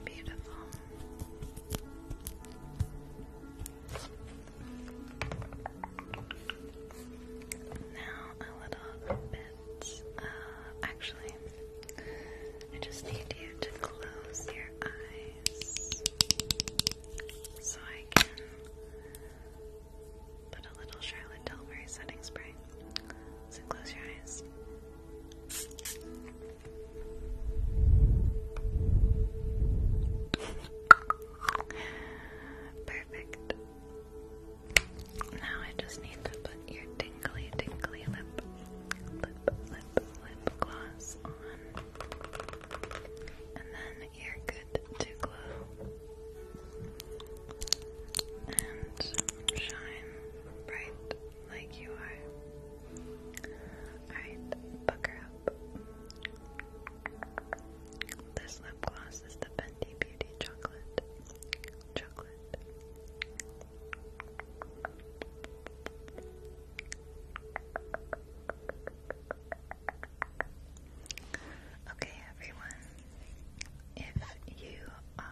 Beautiful. Now a little bit. Uh, actually, I just need you to close your eyes so I can put a little Charlotte Tilbury setting spray. So close your eyes. Perfect. Now I just need to put your tingly, tingly lip, lip, lip, lip gloss on. And then you're good to glow. And shine bright like you are. Alright, pucker up. This lip gloss is the Fenty Beauty Chocolate. Chocolate. Okay, everyone, if you are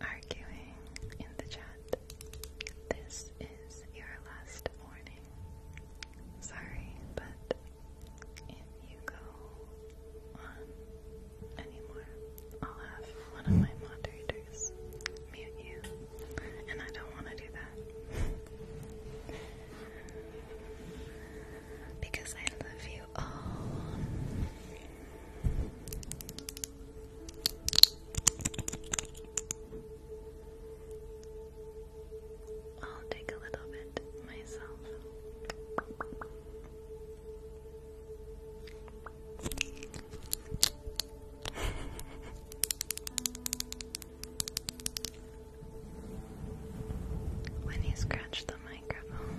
arguing in the chat. This is your last warning. Sorry, but if you go on anymore, I'll have one of my moderators mute you, and I don't want to do that. because I love you all. I'll take a little bit myself. when you scratch the microphone,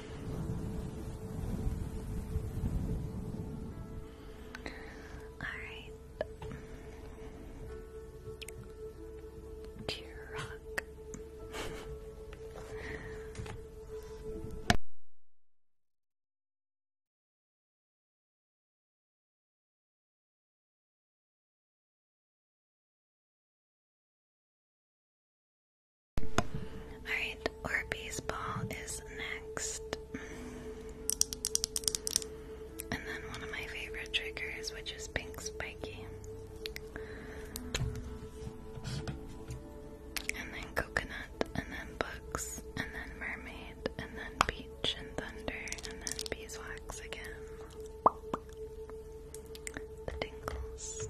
Alright. Dear Rock. Alright, Orbeez Ball is next. And then one of my favorite triggers, which is Pink Spiky. And then Coconut, and then Books, and then Mermaid, and then Beach and Thunder, and then Beeswax again. The tingles.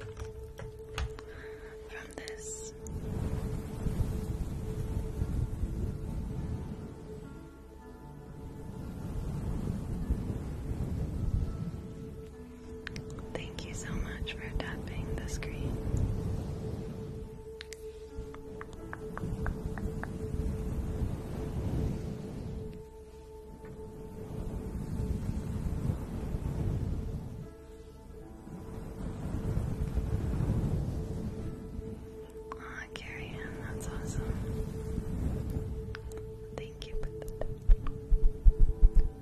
Thank you so much for tapping the screen. Carrie that's awesome. Thank you for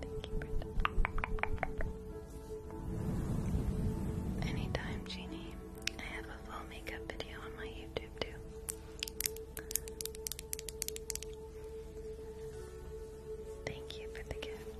Thank you for Anytime, Jeannie. I have a full makeup video on my YouTube too. Thank you for the gift.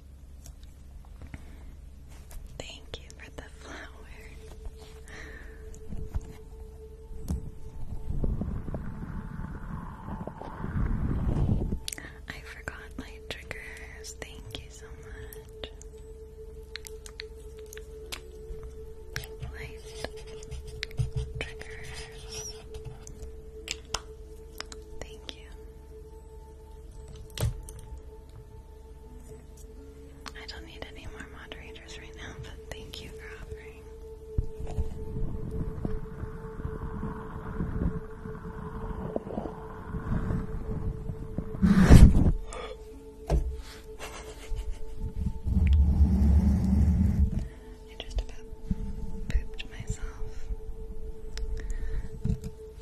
Thank you for the flower. I forgot my triggers. Thank you so much. Light triggers. Thank you. I don't need any more moderators right now, but thank you for offering. I just pooped myself.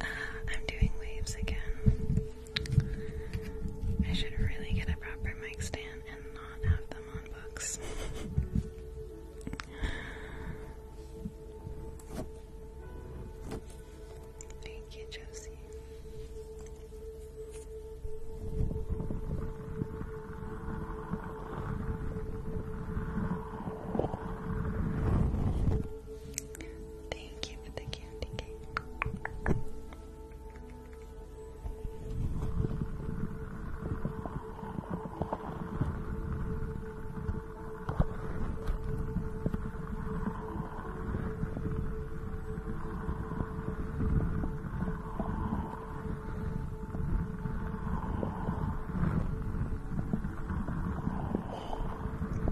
Uh, I'm doing waves again. I should really get a proper mic stand and not have them on books. Thank you, Josie. Thank you for the candy cake.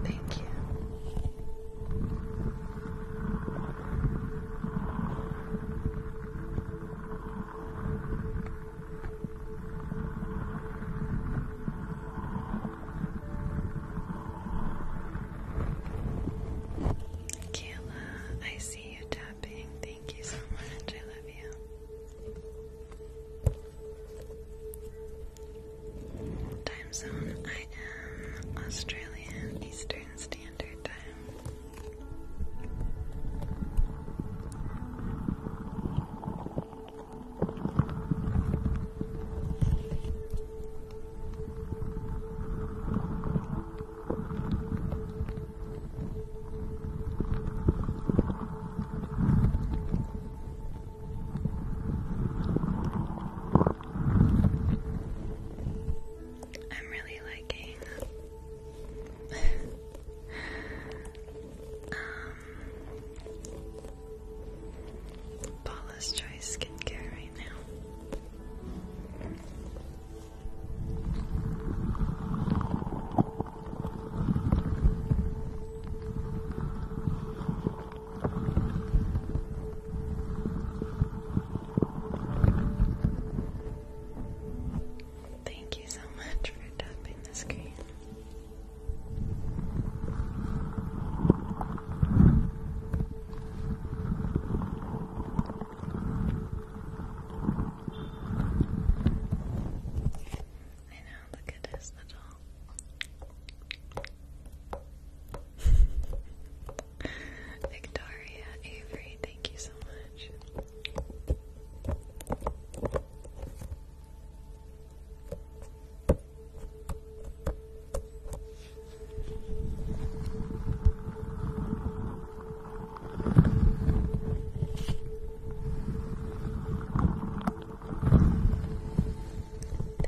Thank you. Kayla, I see you tapping. Thank you so much. I love you. Time zone, I am Australian Eastern Standard Time. I'm really liking um, Paula's Choice skincare right now. Thank you so much for tapping the screen. I know, look at his little Victoria, Avery, thank you so much.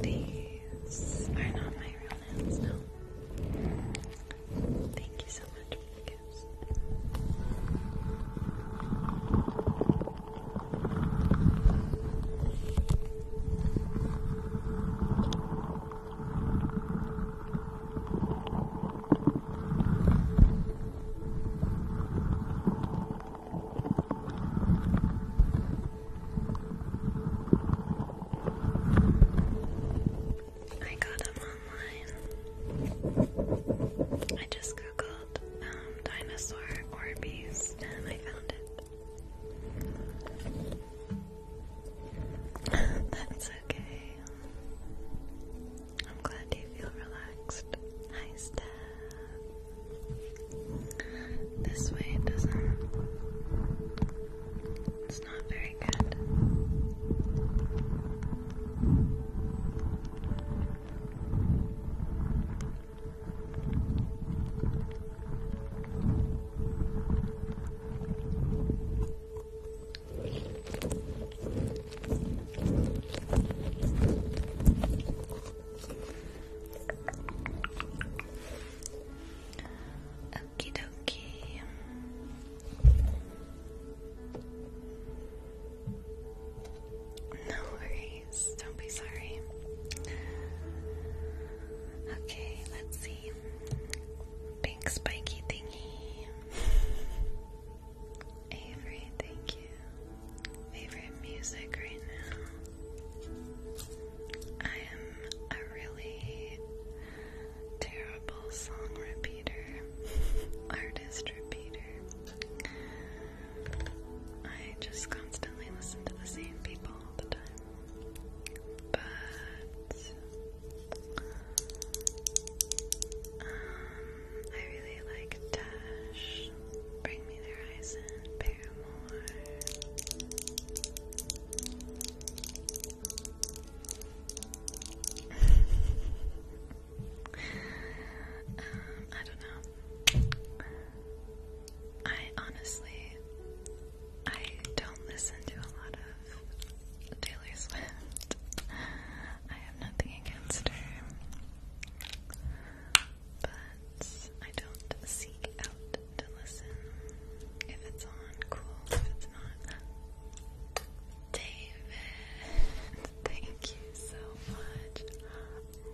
These are not my real nails, no. Thank you so much for the gifts. I got them online. I just googled um, dinosaur Orbeez and I found it. That's okay. I'm glad you feel relaxed. Hi, Steph. This way it doesn't. It's not very good. Okie dokie. No worries, don't be sorry. Okay, let's see. Pink spiky thingy. Avery, thank you. Favorite music right now? I am a really terrible song repeater, artist repeater. I just constantly listen to the same people all the time. But. Um, I really like Dash, Bring Me the Horizon, Paramore. Um, I don't know. I honestly, I don't listen to a lot of Taylor Swift. I have nothing against her, but I don't seek out to listen. If it's on, cool. If it's not, David, thank you so much.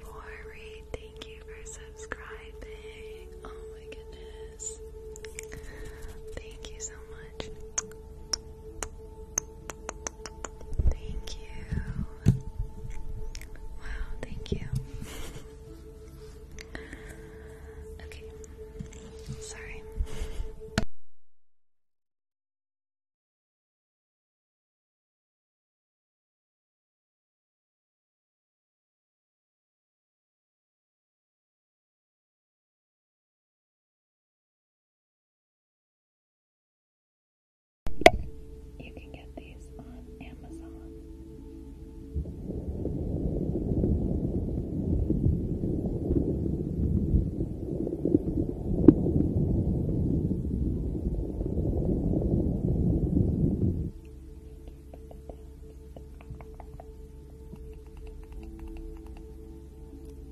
Lori, thank you for subscribing. Oh my goodness. Thank you so much. Thank you. Wow, thank you. okay. Sorry. You can get these on Amazon. Thank you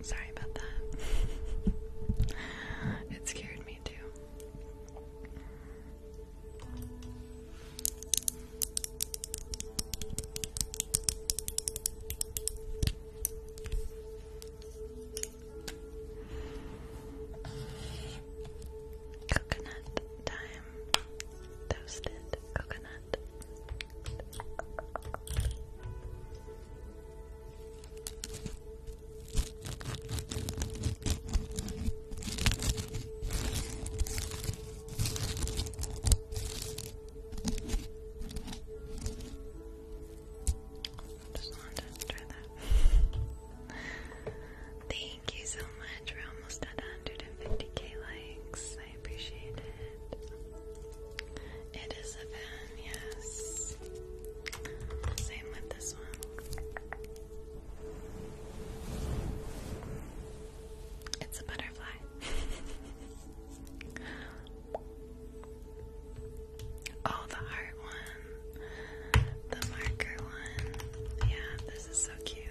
Sorry about that. it scared me too. Coconut time. Toasted coconut. Just wanted to try that. Thank you so much. We're almost at 150k likes. I appreciate it. It is a fan, yes. Same with this one. It's a butterfly. oh, the heart one. The marker one. Yeah, this is so cute.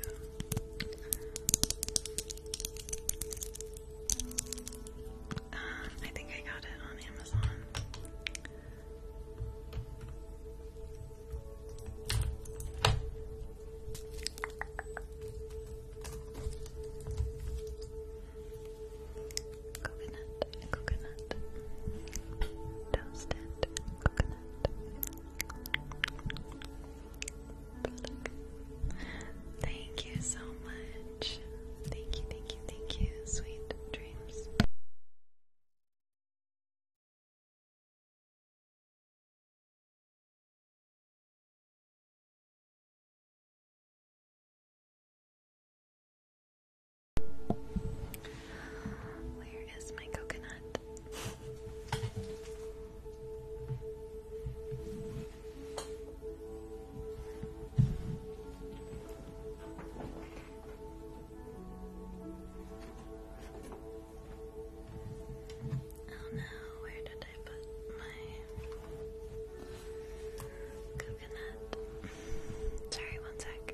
Um, I think I got it on Amazon. Coconut, coconut, toasted coconut. Thank you so much. Thank you, thank you, thank you. Sweet dreams. Where is my coconut? Oh no, where did I put my coconut? Sorry, one sec.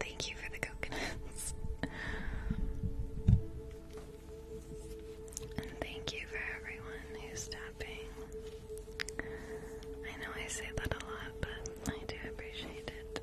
Thank you for the coconuts. and thank you for everyone who's tapping. I know I say that a lot, but I do appreciate it.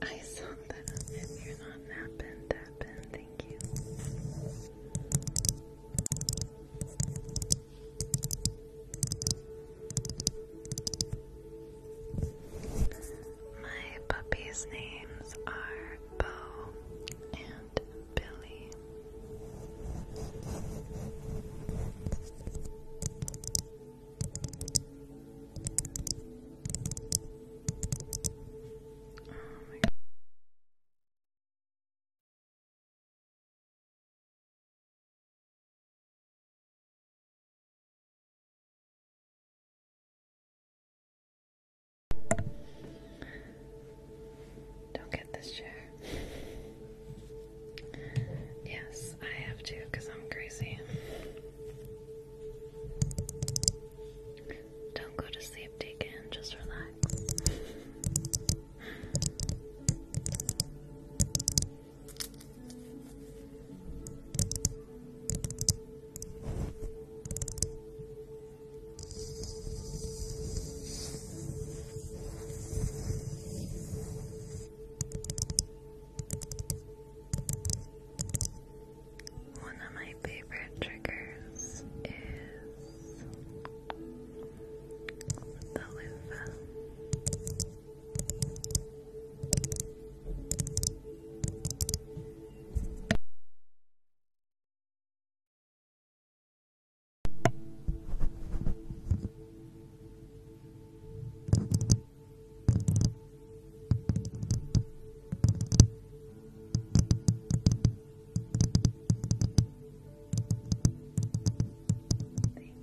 I saw that outfit you're not napping, tapping, thank you. My puppies' names are Bo and Billy. Don't get this chair. Yes, I have to because I'm crazy. Don't go to sleep, Deacon. Just relax. One of my favorite triggers is the loofah. Thank you, babe. Thank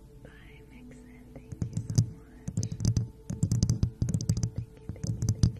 Bye, Mixon. Thank you so much. Thank you, thank you, thank you.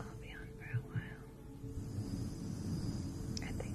I'll be on for a while. I think.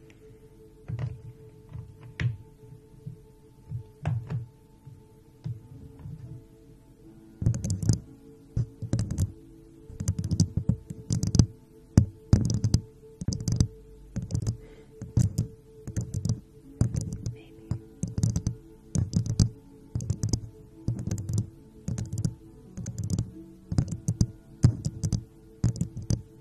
Maybe. Maybe.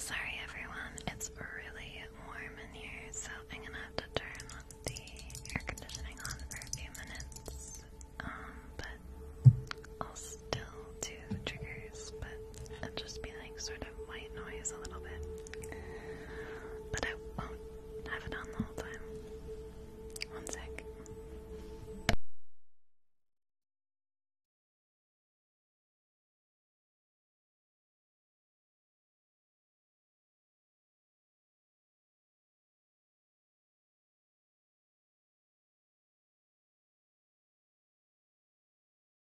Sorry, everyone, it's really warm in here, so I'm gonna have to turn the air conditioning on for a few minutes. Um, but I'll still do triggers, but it'll just be like sort of white noise a little bit. But I won't have it on the whole time. One sec.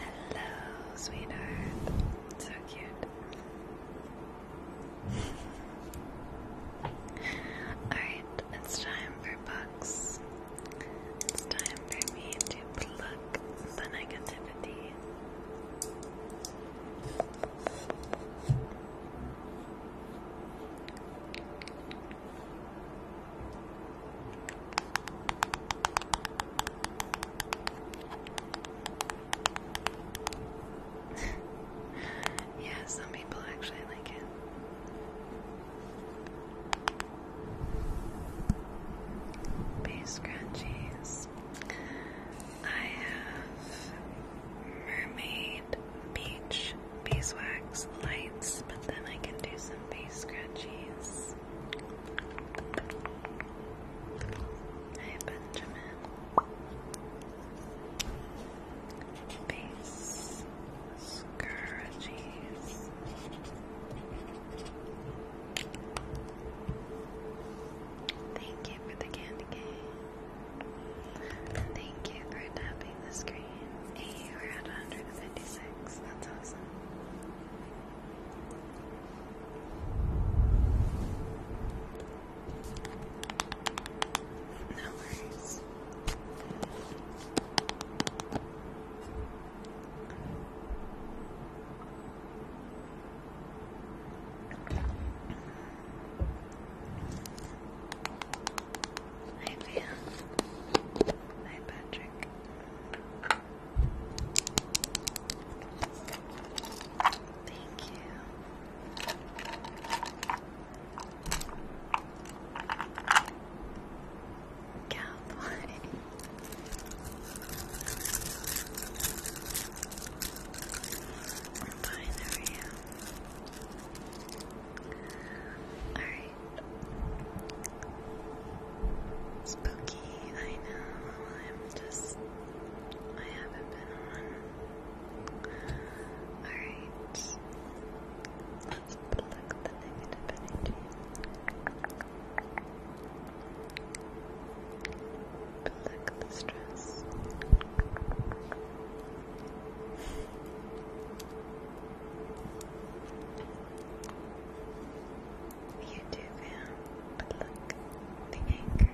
hello, sweetheart. So cute. Alright, it's time for books. It's time for me to pluck the negativity. yeah, some people actually like it. Base scrunchies. I have mermaid beach beeswax lights, but then I can do some base scrunchies. Hey Benjamin. Base scourges. Thank you for the candy cane. Thank you for tapping the screen. we're at 156. That's awesome. No worries. Hi, Pam. Hi, Patrick. Thank you. Cowboy. i fine, how are you? Alright. Spooky, I know. I'm just. I haven't been on. Alright. Let's pluck the negative energy. Pluck the stress. You do, but look, the anchor.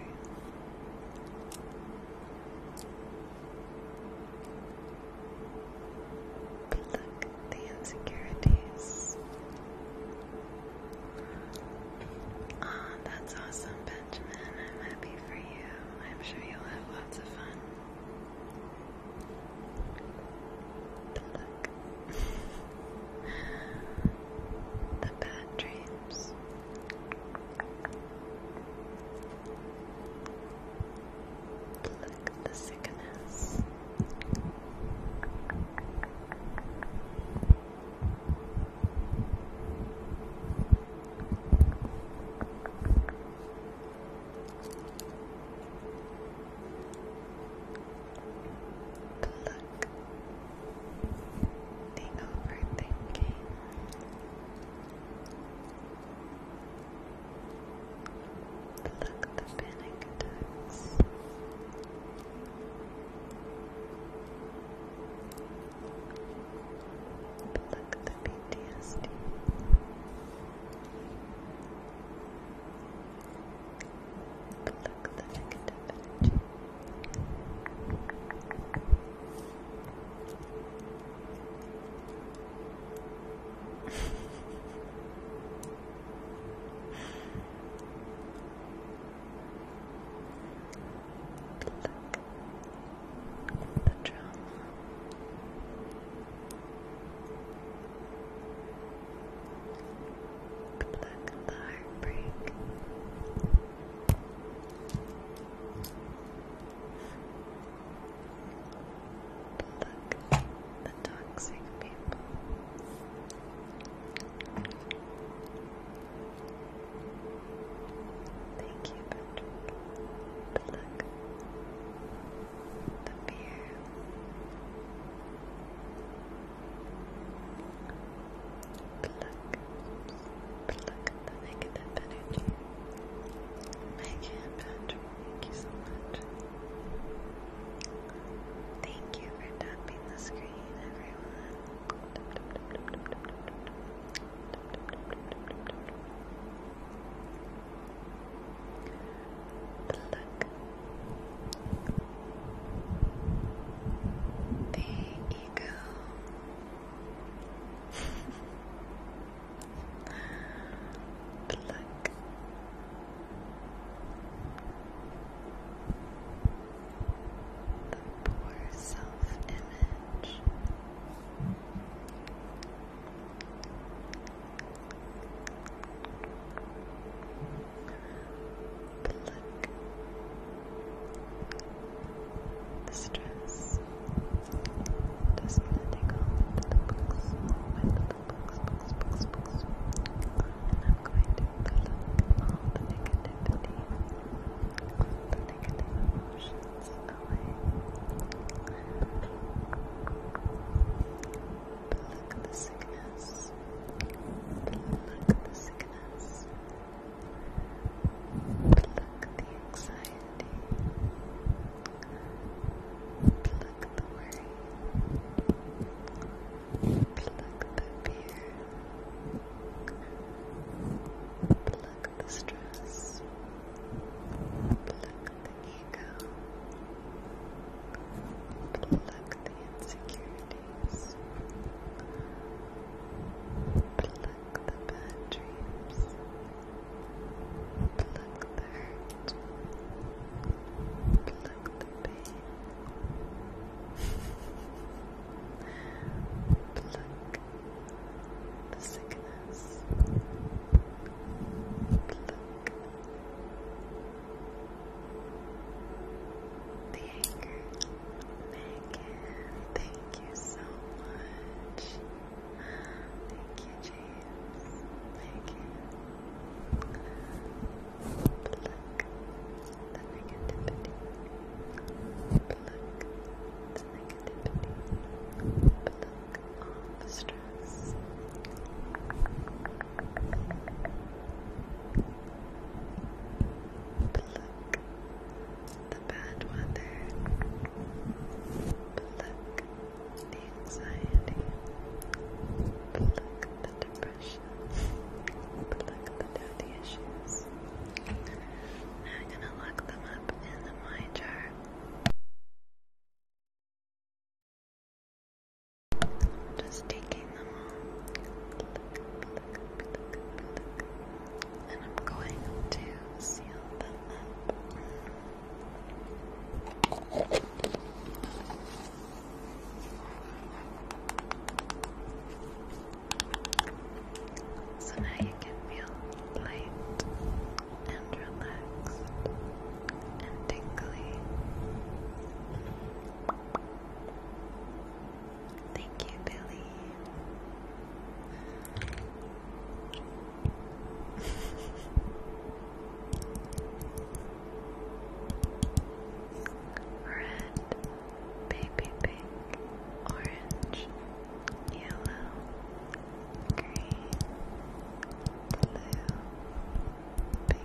But look, the insecurities. Aw, ah, that's awesome, Benjamin. I'm happy for you. I'm sure you'll have lots of fun. But look. the bad dreams. the sickness. Pluck the overthinking. Pluck the panic attacks. Pluck the PTSD. Pluck the negative energy. Pluck the trauma. Pluck the heartbreak. Pluck the toxic people. Thank you, but pluck the beer. Pluck, pluck the negative energy. Patrick, thank you so much. Thank you for tapping the screen, everyone. Pluck, there you go. Look. The poor self-image. But look, the stress doesn't take off the books, my little books, books, books, books. And I'm going to pull up all the negativity, all the negative emotions away. But look at the sickness. But look at the sickness sadness. the anxiety. Pluck the worry. Pluck the fear. Pluck the stress. Pluck the ego. Pluck the insecurity days. Pluck the bad dreams. Pluck the hurt. Pluck the pain. Pluck the sickness. Pluck the anger. Megan, thank you so much. Thank you, James. Megan. Pluck the negativity. Pluck the negativity. Pluck all the stress. Pluck Pluck the bad weather. Pluck the anxiety. Pluck the depression. Pluck the daddy issues. I'm gonna lock them up in the my jar. Just take and I'm going to seal them up. So now you can feel light and relaxed and tingly. Thank you, Billy. Red, baby pink, orange, yellow, green, blue, pink.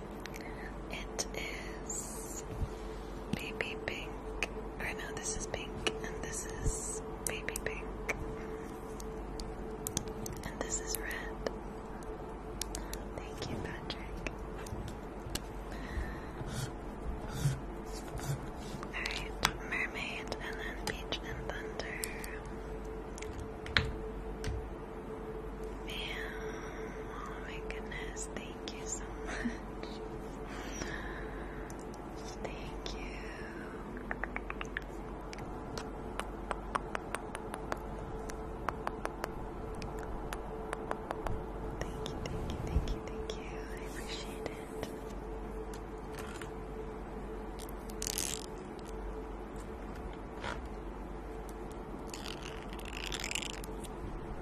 It is baby pink. Or no, this is pink, and this is baby pink. And this is red. Thank you, Patrick. Alright, mermaid, and then beach and thunder. oh my goodness, Thank you so much. Thank you. Thank you, thank you, thank you, I appreciate it.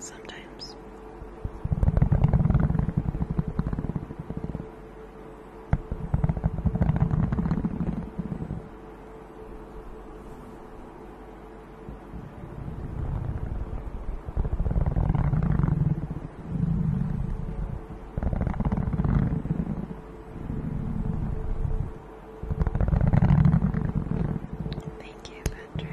Sometimes. Thank you, Patrick.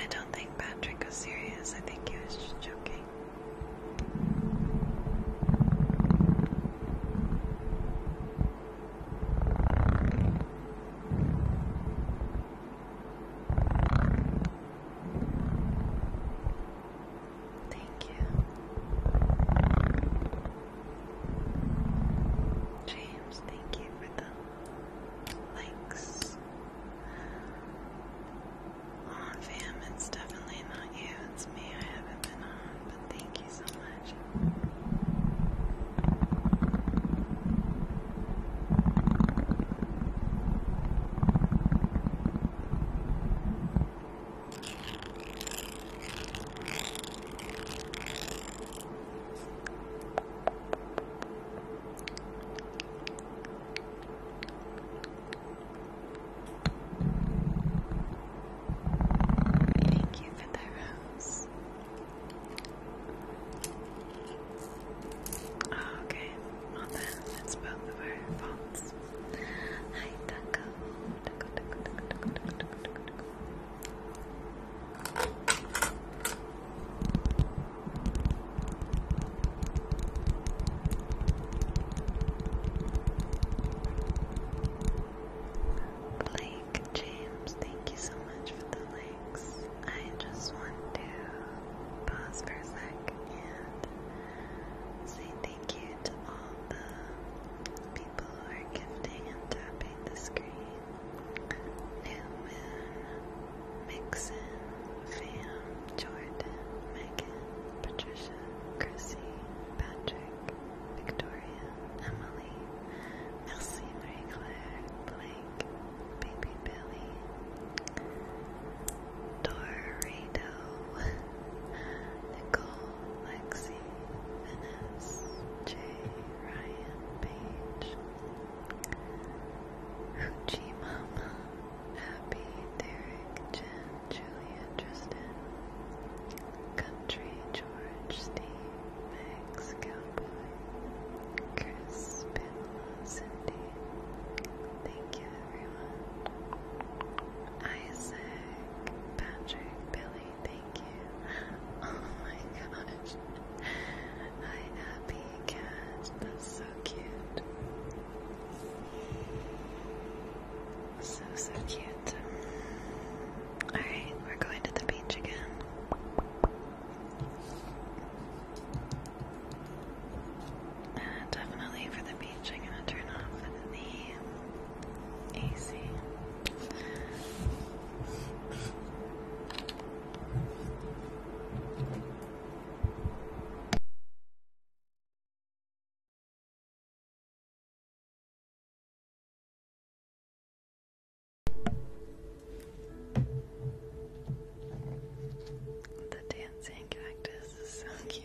I don't think Patrick was serious. I think he was just joking. Thank you. James, thank you for the likes. Aw, fam, it's definitely not you, it's me. I haven't been on, but thank you so much. Thank you Oh, okay, well then, that's both of our Hi, Taco. Blake James, thank you so much for the likes. I just want to pause for a sec and say thank you to all the people who are giving and tapping the screen. New Moon, Mixon, Fam, Jordan, Megan, Patricia, Chrissy, Patrick, Victoria, Emily, Merci Marie Claire, Blake, Baby Billy, Dorado, Nicole, Lexi, C. J. Ryan Page, Hoochie Mama, Abby, Derek, Jen, Julia, Tristan, Country, George, Steve, Max, Cowboy, Chris, Pamela, Cindy. Thank you, everyone. Isaac, Patrick, Billy, thank you. Oh my gosh. Hi, Happy Cat. That's so cute. So, so cute. Alright, we're going to the beach again. Uh, definitely for the beach, I'm going to turn off the easy. The dancing cactus is so cute.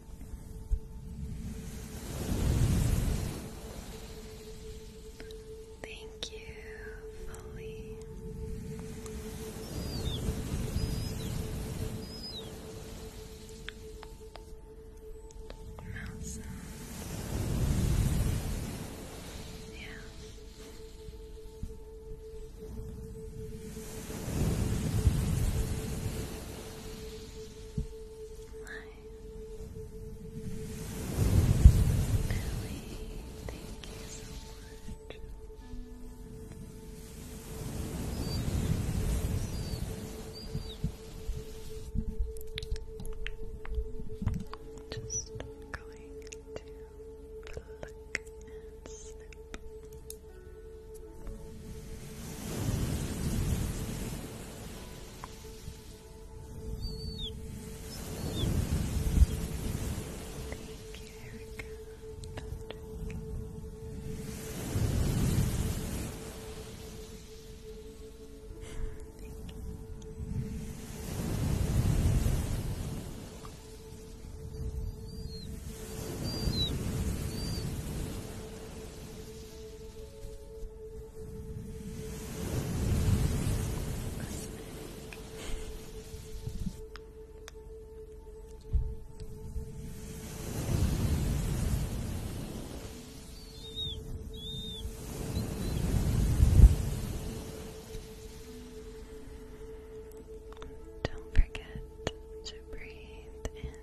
Thank you, Fully. Mouse. Yeah. Billy, thank you so much. Just going to look and snip. Thank you, Erica. Patrick. Thank you. Thank don't forget to breathe in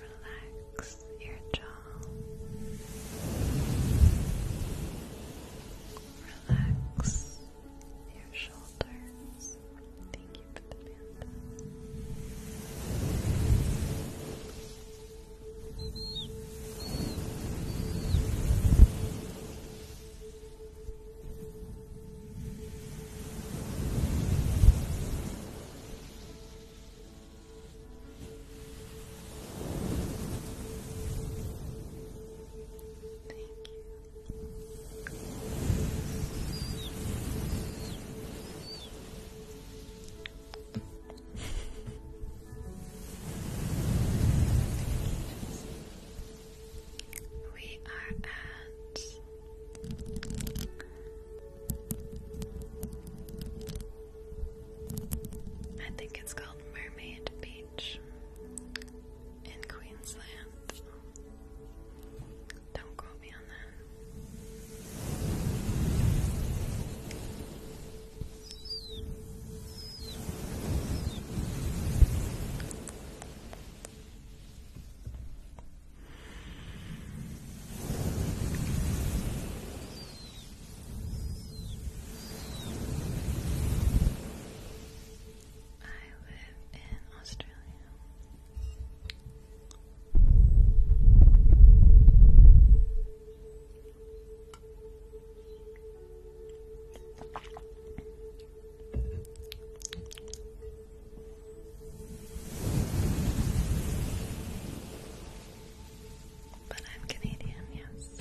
Relax your jaw. Relax your shoulders. Thank you for the panda. Thank you. We are at I think it's called Mermaid Beach in Queensland. Don't quote me on that. I live in Australia. But I'm Canadian, yes.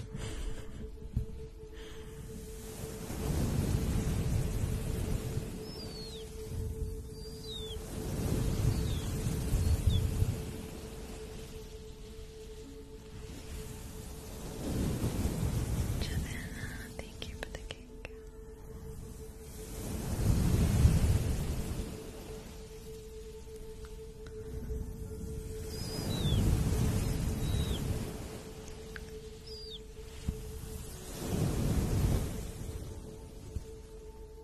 Javana, thank you for the cake.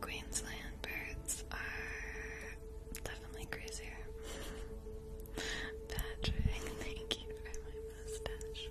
Queensland birds are definitely crazier. Patrick, thank you for my mustache.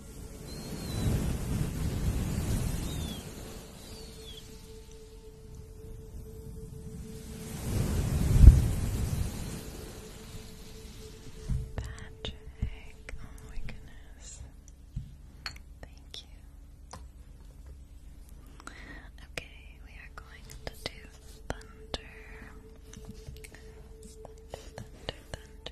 Patrick, oh my goodness. Thank you. Okay, we are going to do thunder. Thunder, thunder, thunder.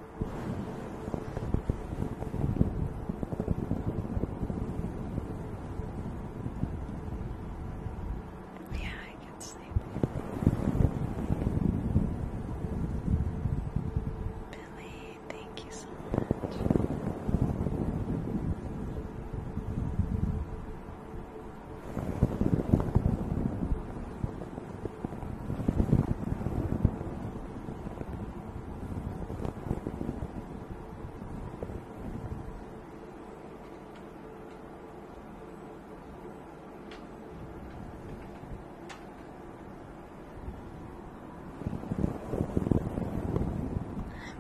Yeah, I can sleep. Billy, thank you so much. I'm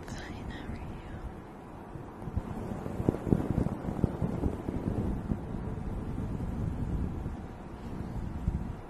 fine, how are you?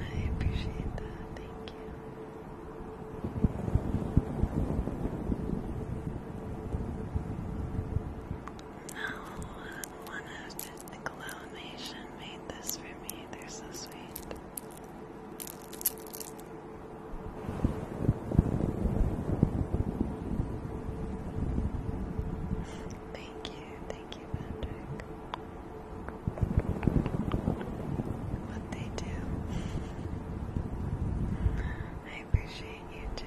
I appreciate that. Thank you. No, one of the Cologne Nation made this for me. They're so sweet. thank you, thank Thank you, they do. I appreciate you too.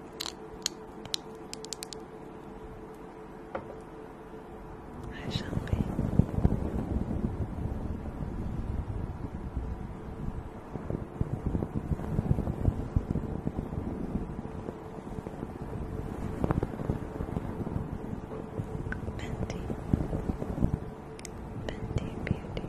I shall be. Bendy, Bendy Beauty.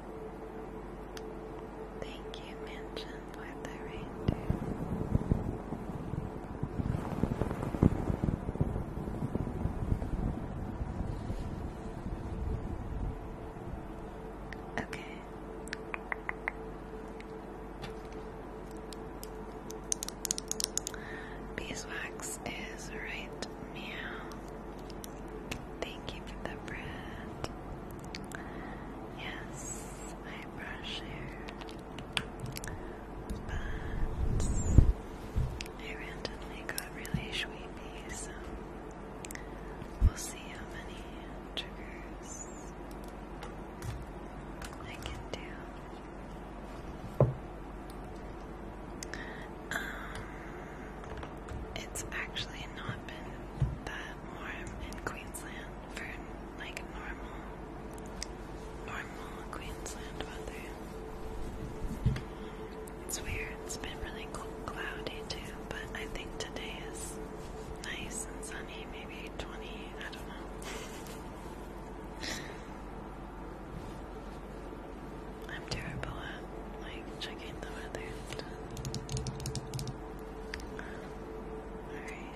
Thank you, Mansion, for the reindeer. Okay. Beeswax is right meow. Thank you for the bread. Yes, I brush hair. But I randomly got really sleepy, so we'll see how many triggers I can do. Um, it's actually not been that warm in Queensland for like normal, normal Queensland weather. It's weird. It's been really cloudy too, but I think today is nice and sunny. Maybe twenty. I don't know. I'm terrible at like checking the weather Alright.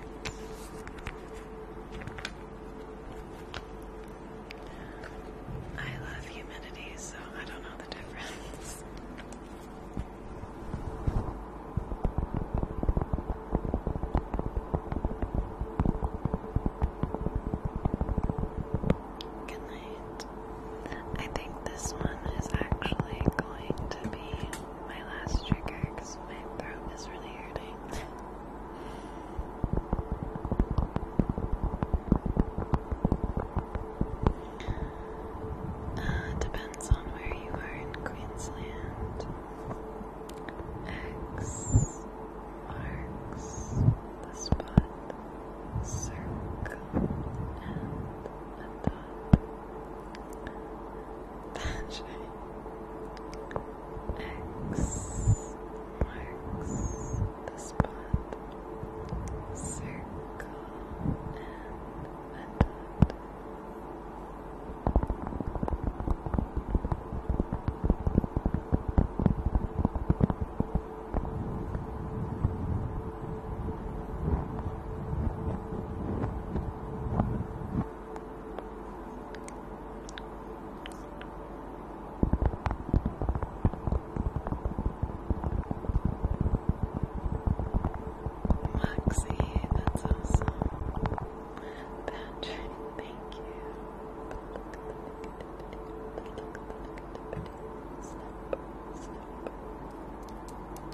I love humidity, so I don't know the difference. Good night. I think this one is actually going to be my last trigger because my throat is really hurting. Uh, depends on where you are in Queensland. X marks the spot, circle, and that shape. X marks the spot, circle and dot. Moxie, that's awesome. Patrick, thank you.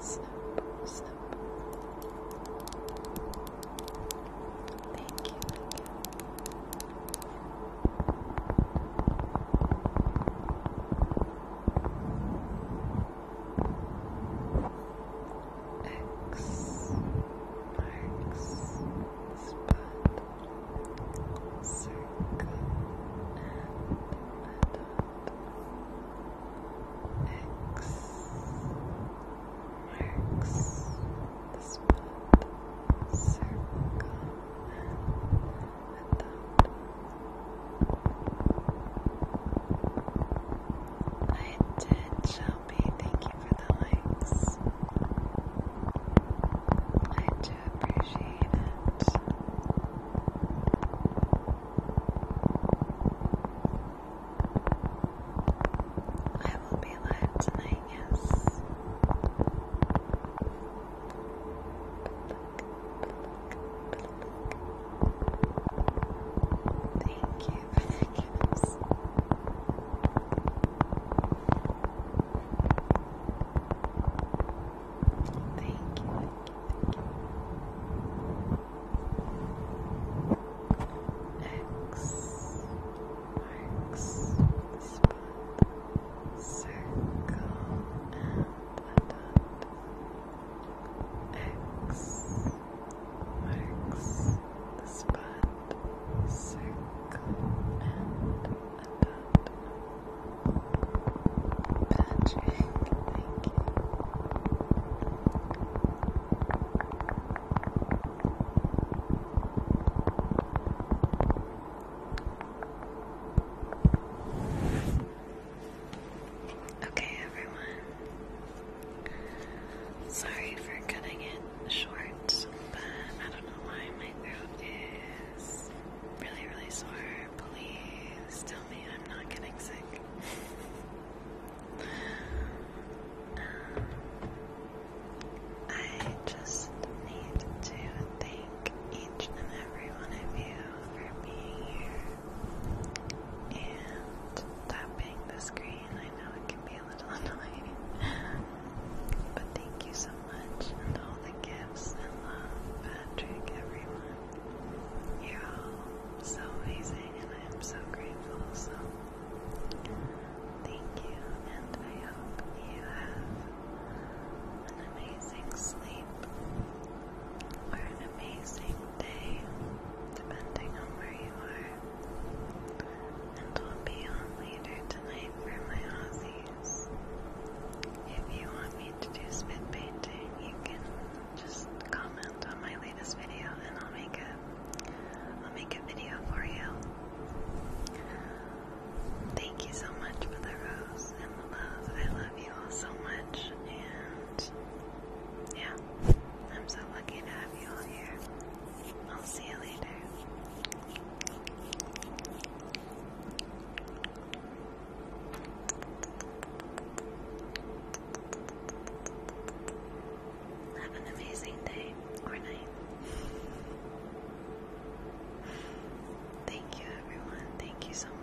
snip, snip. Thank you, X marks spot circle X marks the spot circle and without. I did, Shelby. Thank you for the likes. I do appreciate it. I will be live tonight, yes. Thank you, thank you, thank you. X marks the spot, circle and a dot. X marks the spot, circle and a dot. Patrick, Okay, everyone. Sorry for cutting it short, but I don't know why my throat is really, really sore. Please tell me I'm not getting sick. I just need to thank each and every one of you for being here and tapping the screen. I know it can be a little annoying, but thank you so much and all the gifts and love, Patrick, everyone. You're all so amazing, and I am so grateful. So, thank you, and I hope you have an amazing sleep or an amazing day, depending on where you are. And we'll be on later tonight for my Aussies. If you want me to do spit painting, you can just comment on my latest video and I'll make it will make a video for you. Thank you so much for the rose and the love. I love you all so much and yeah, I'm so lucky to have you all here. I'll see you later. Have an amazing day or night. Thank you, everyone. Thank you so much.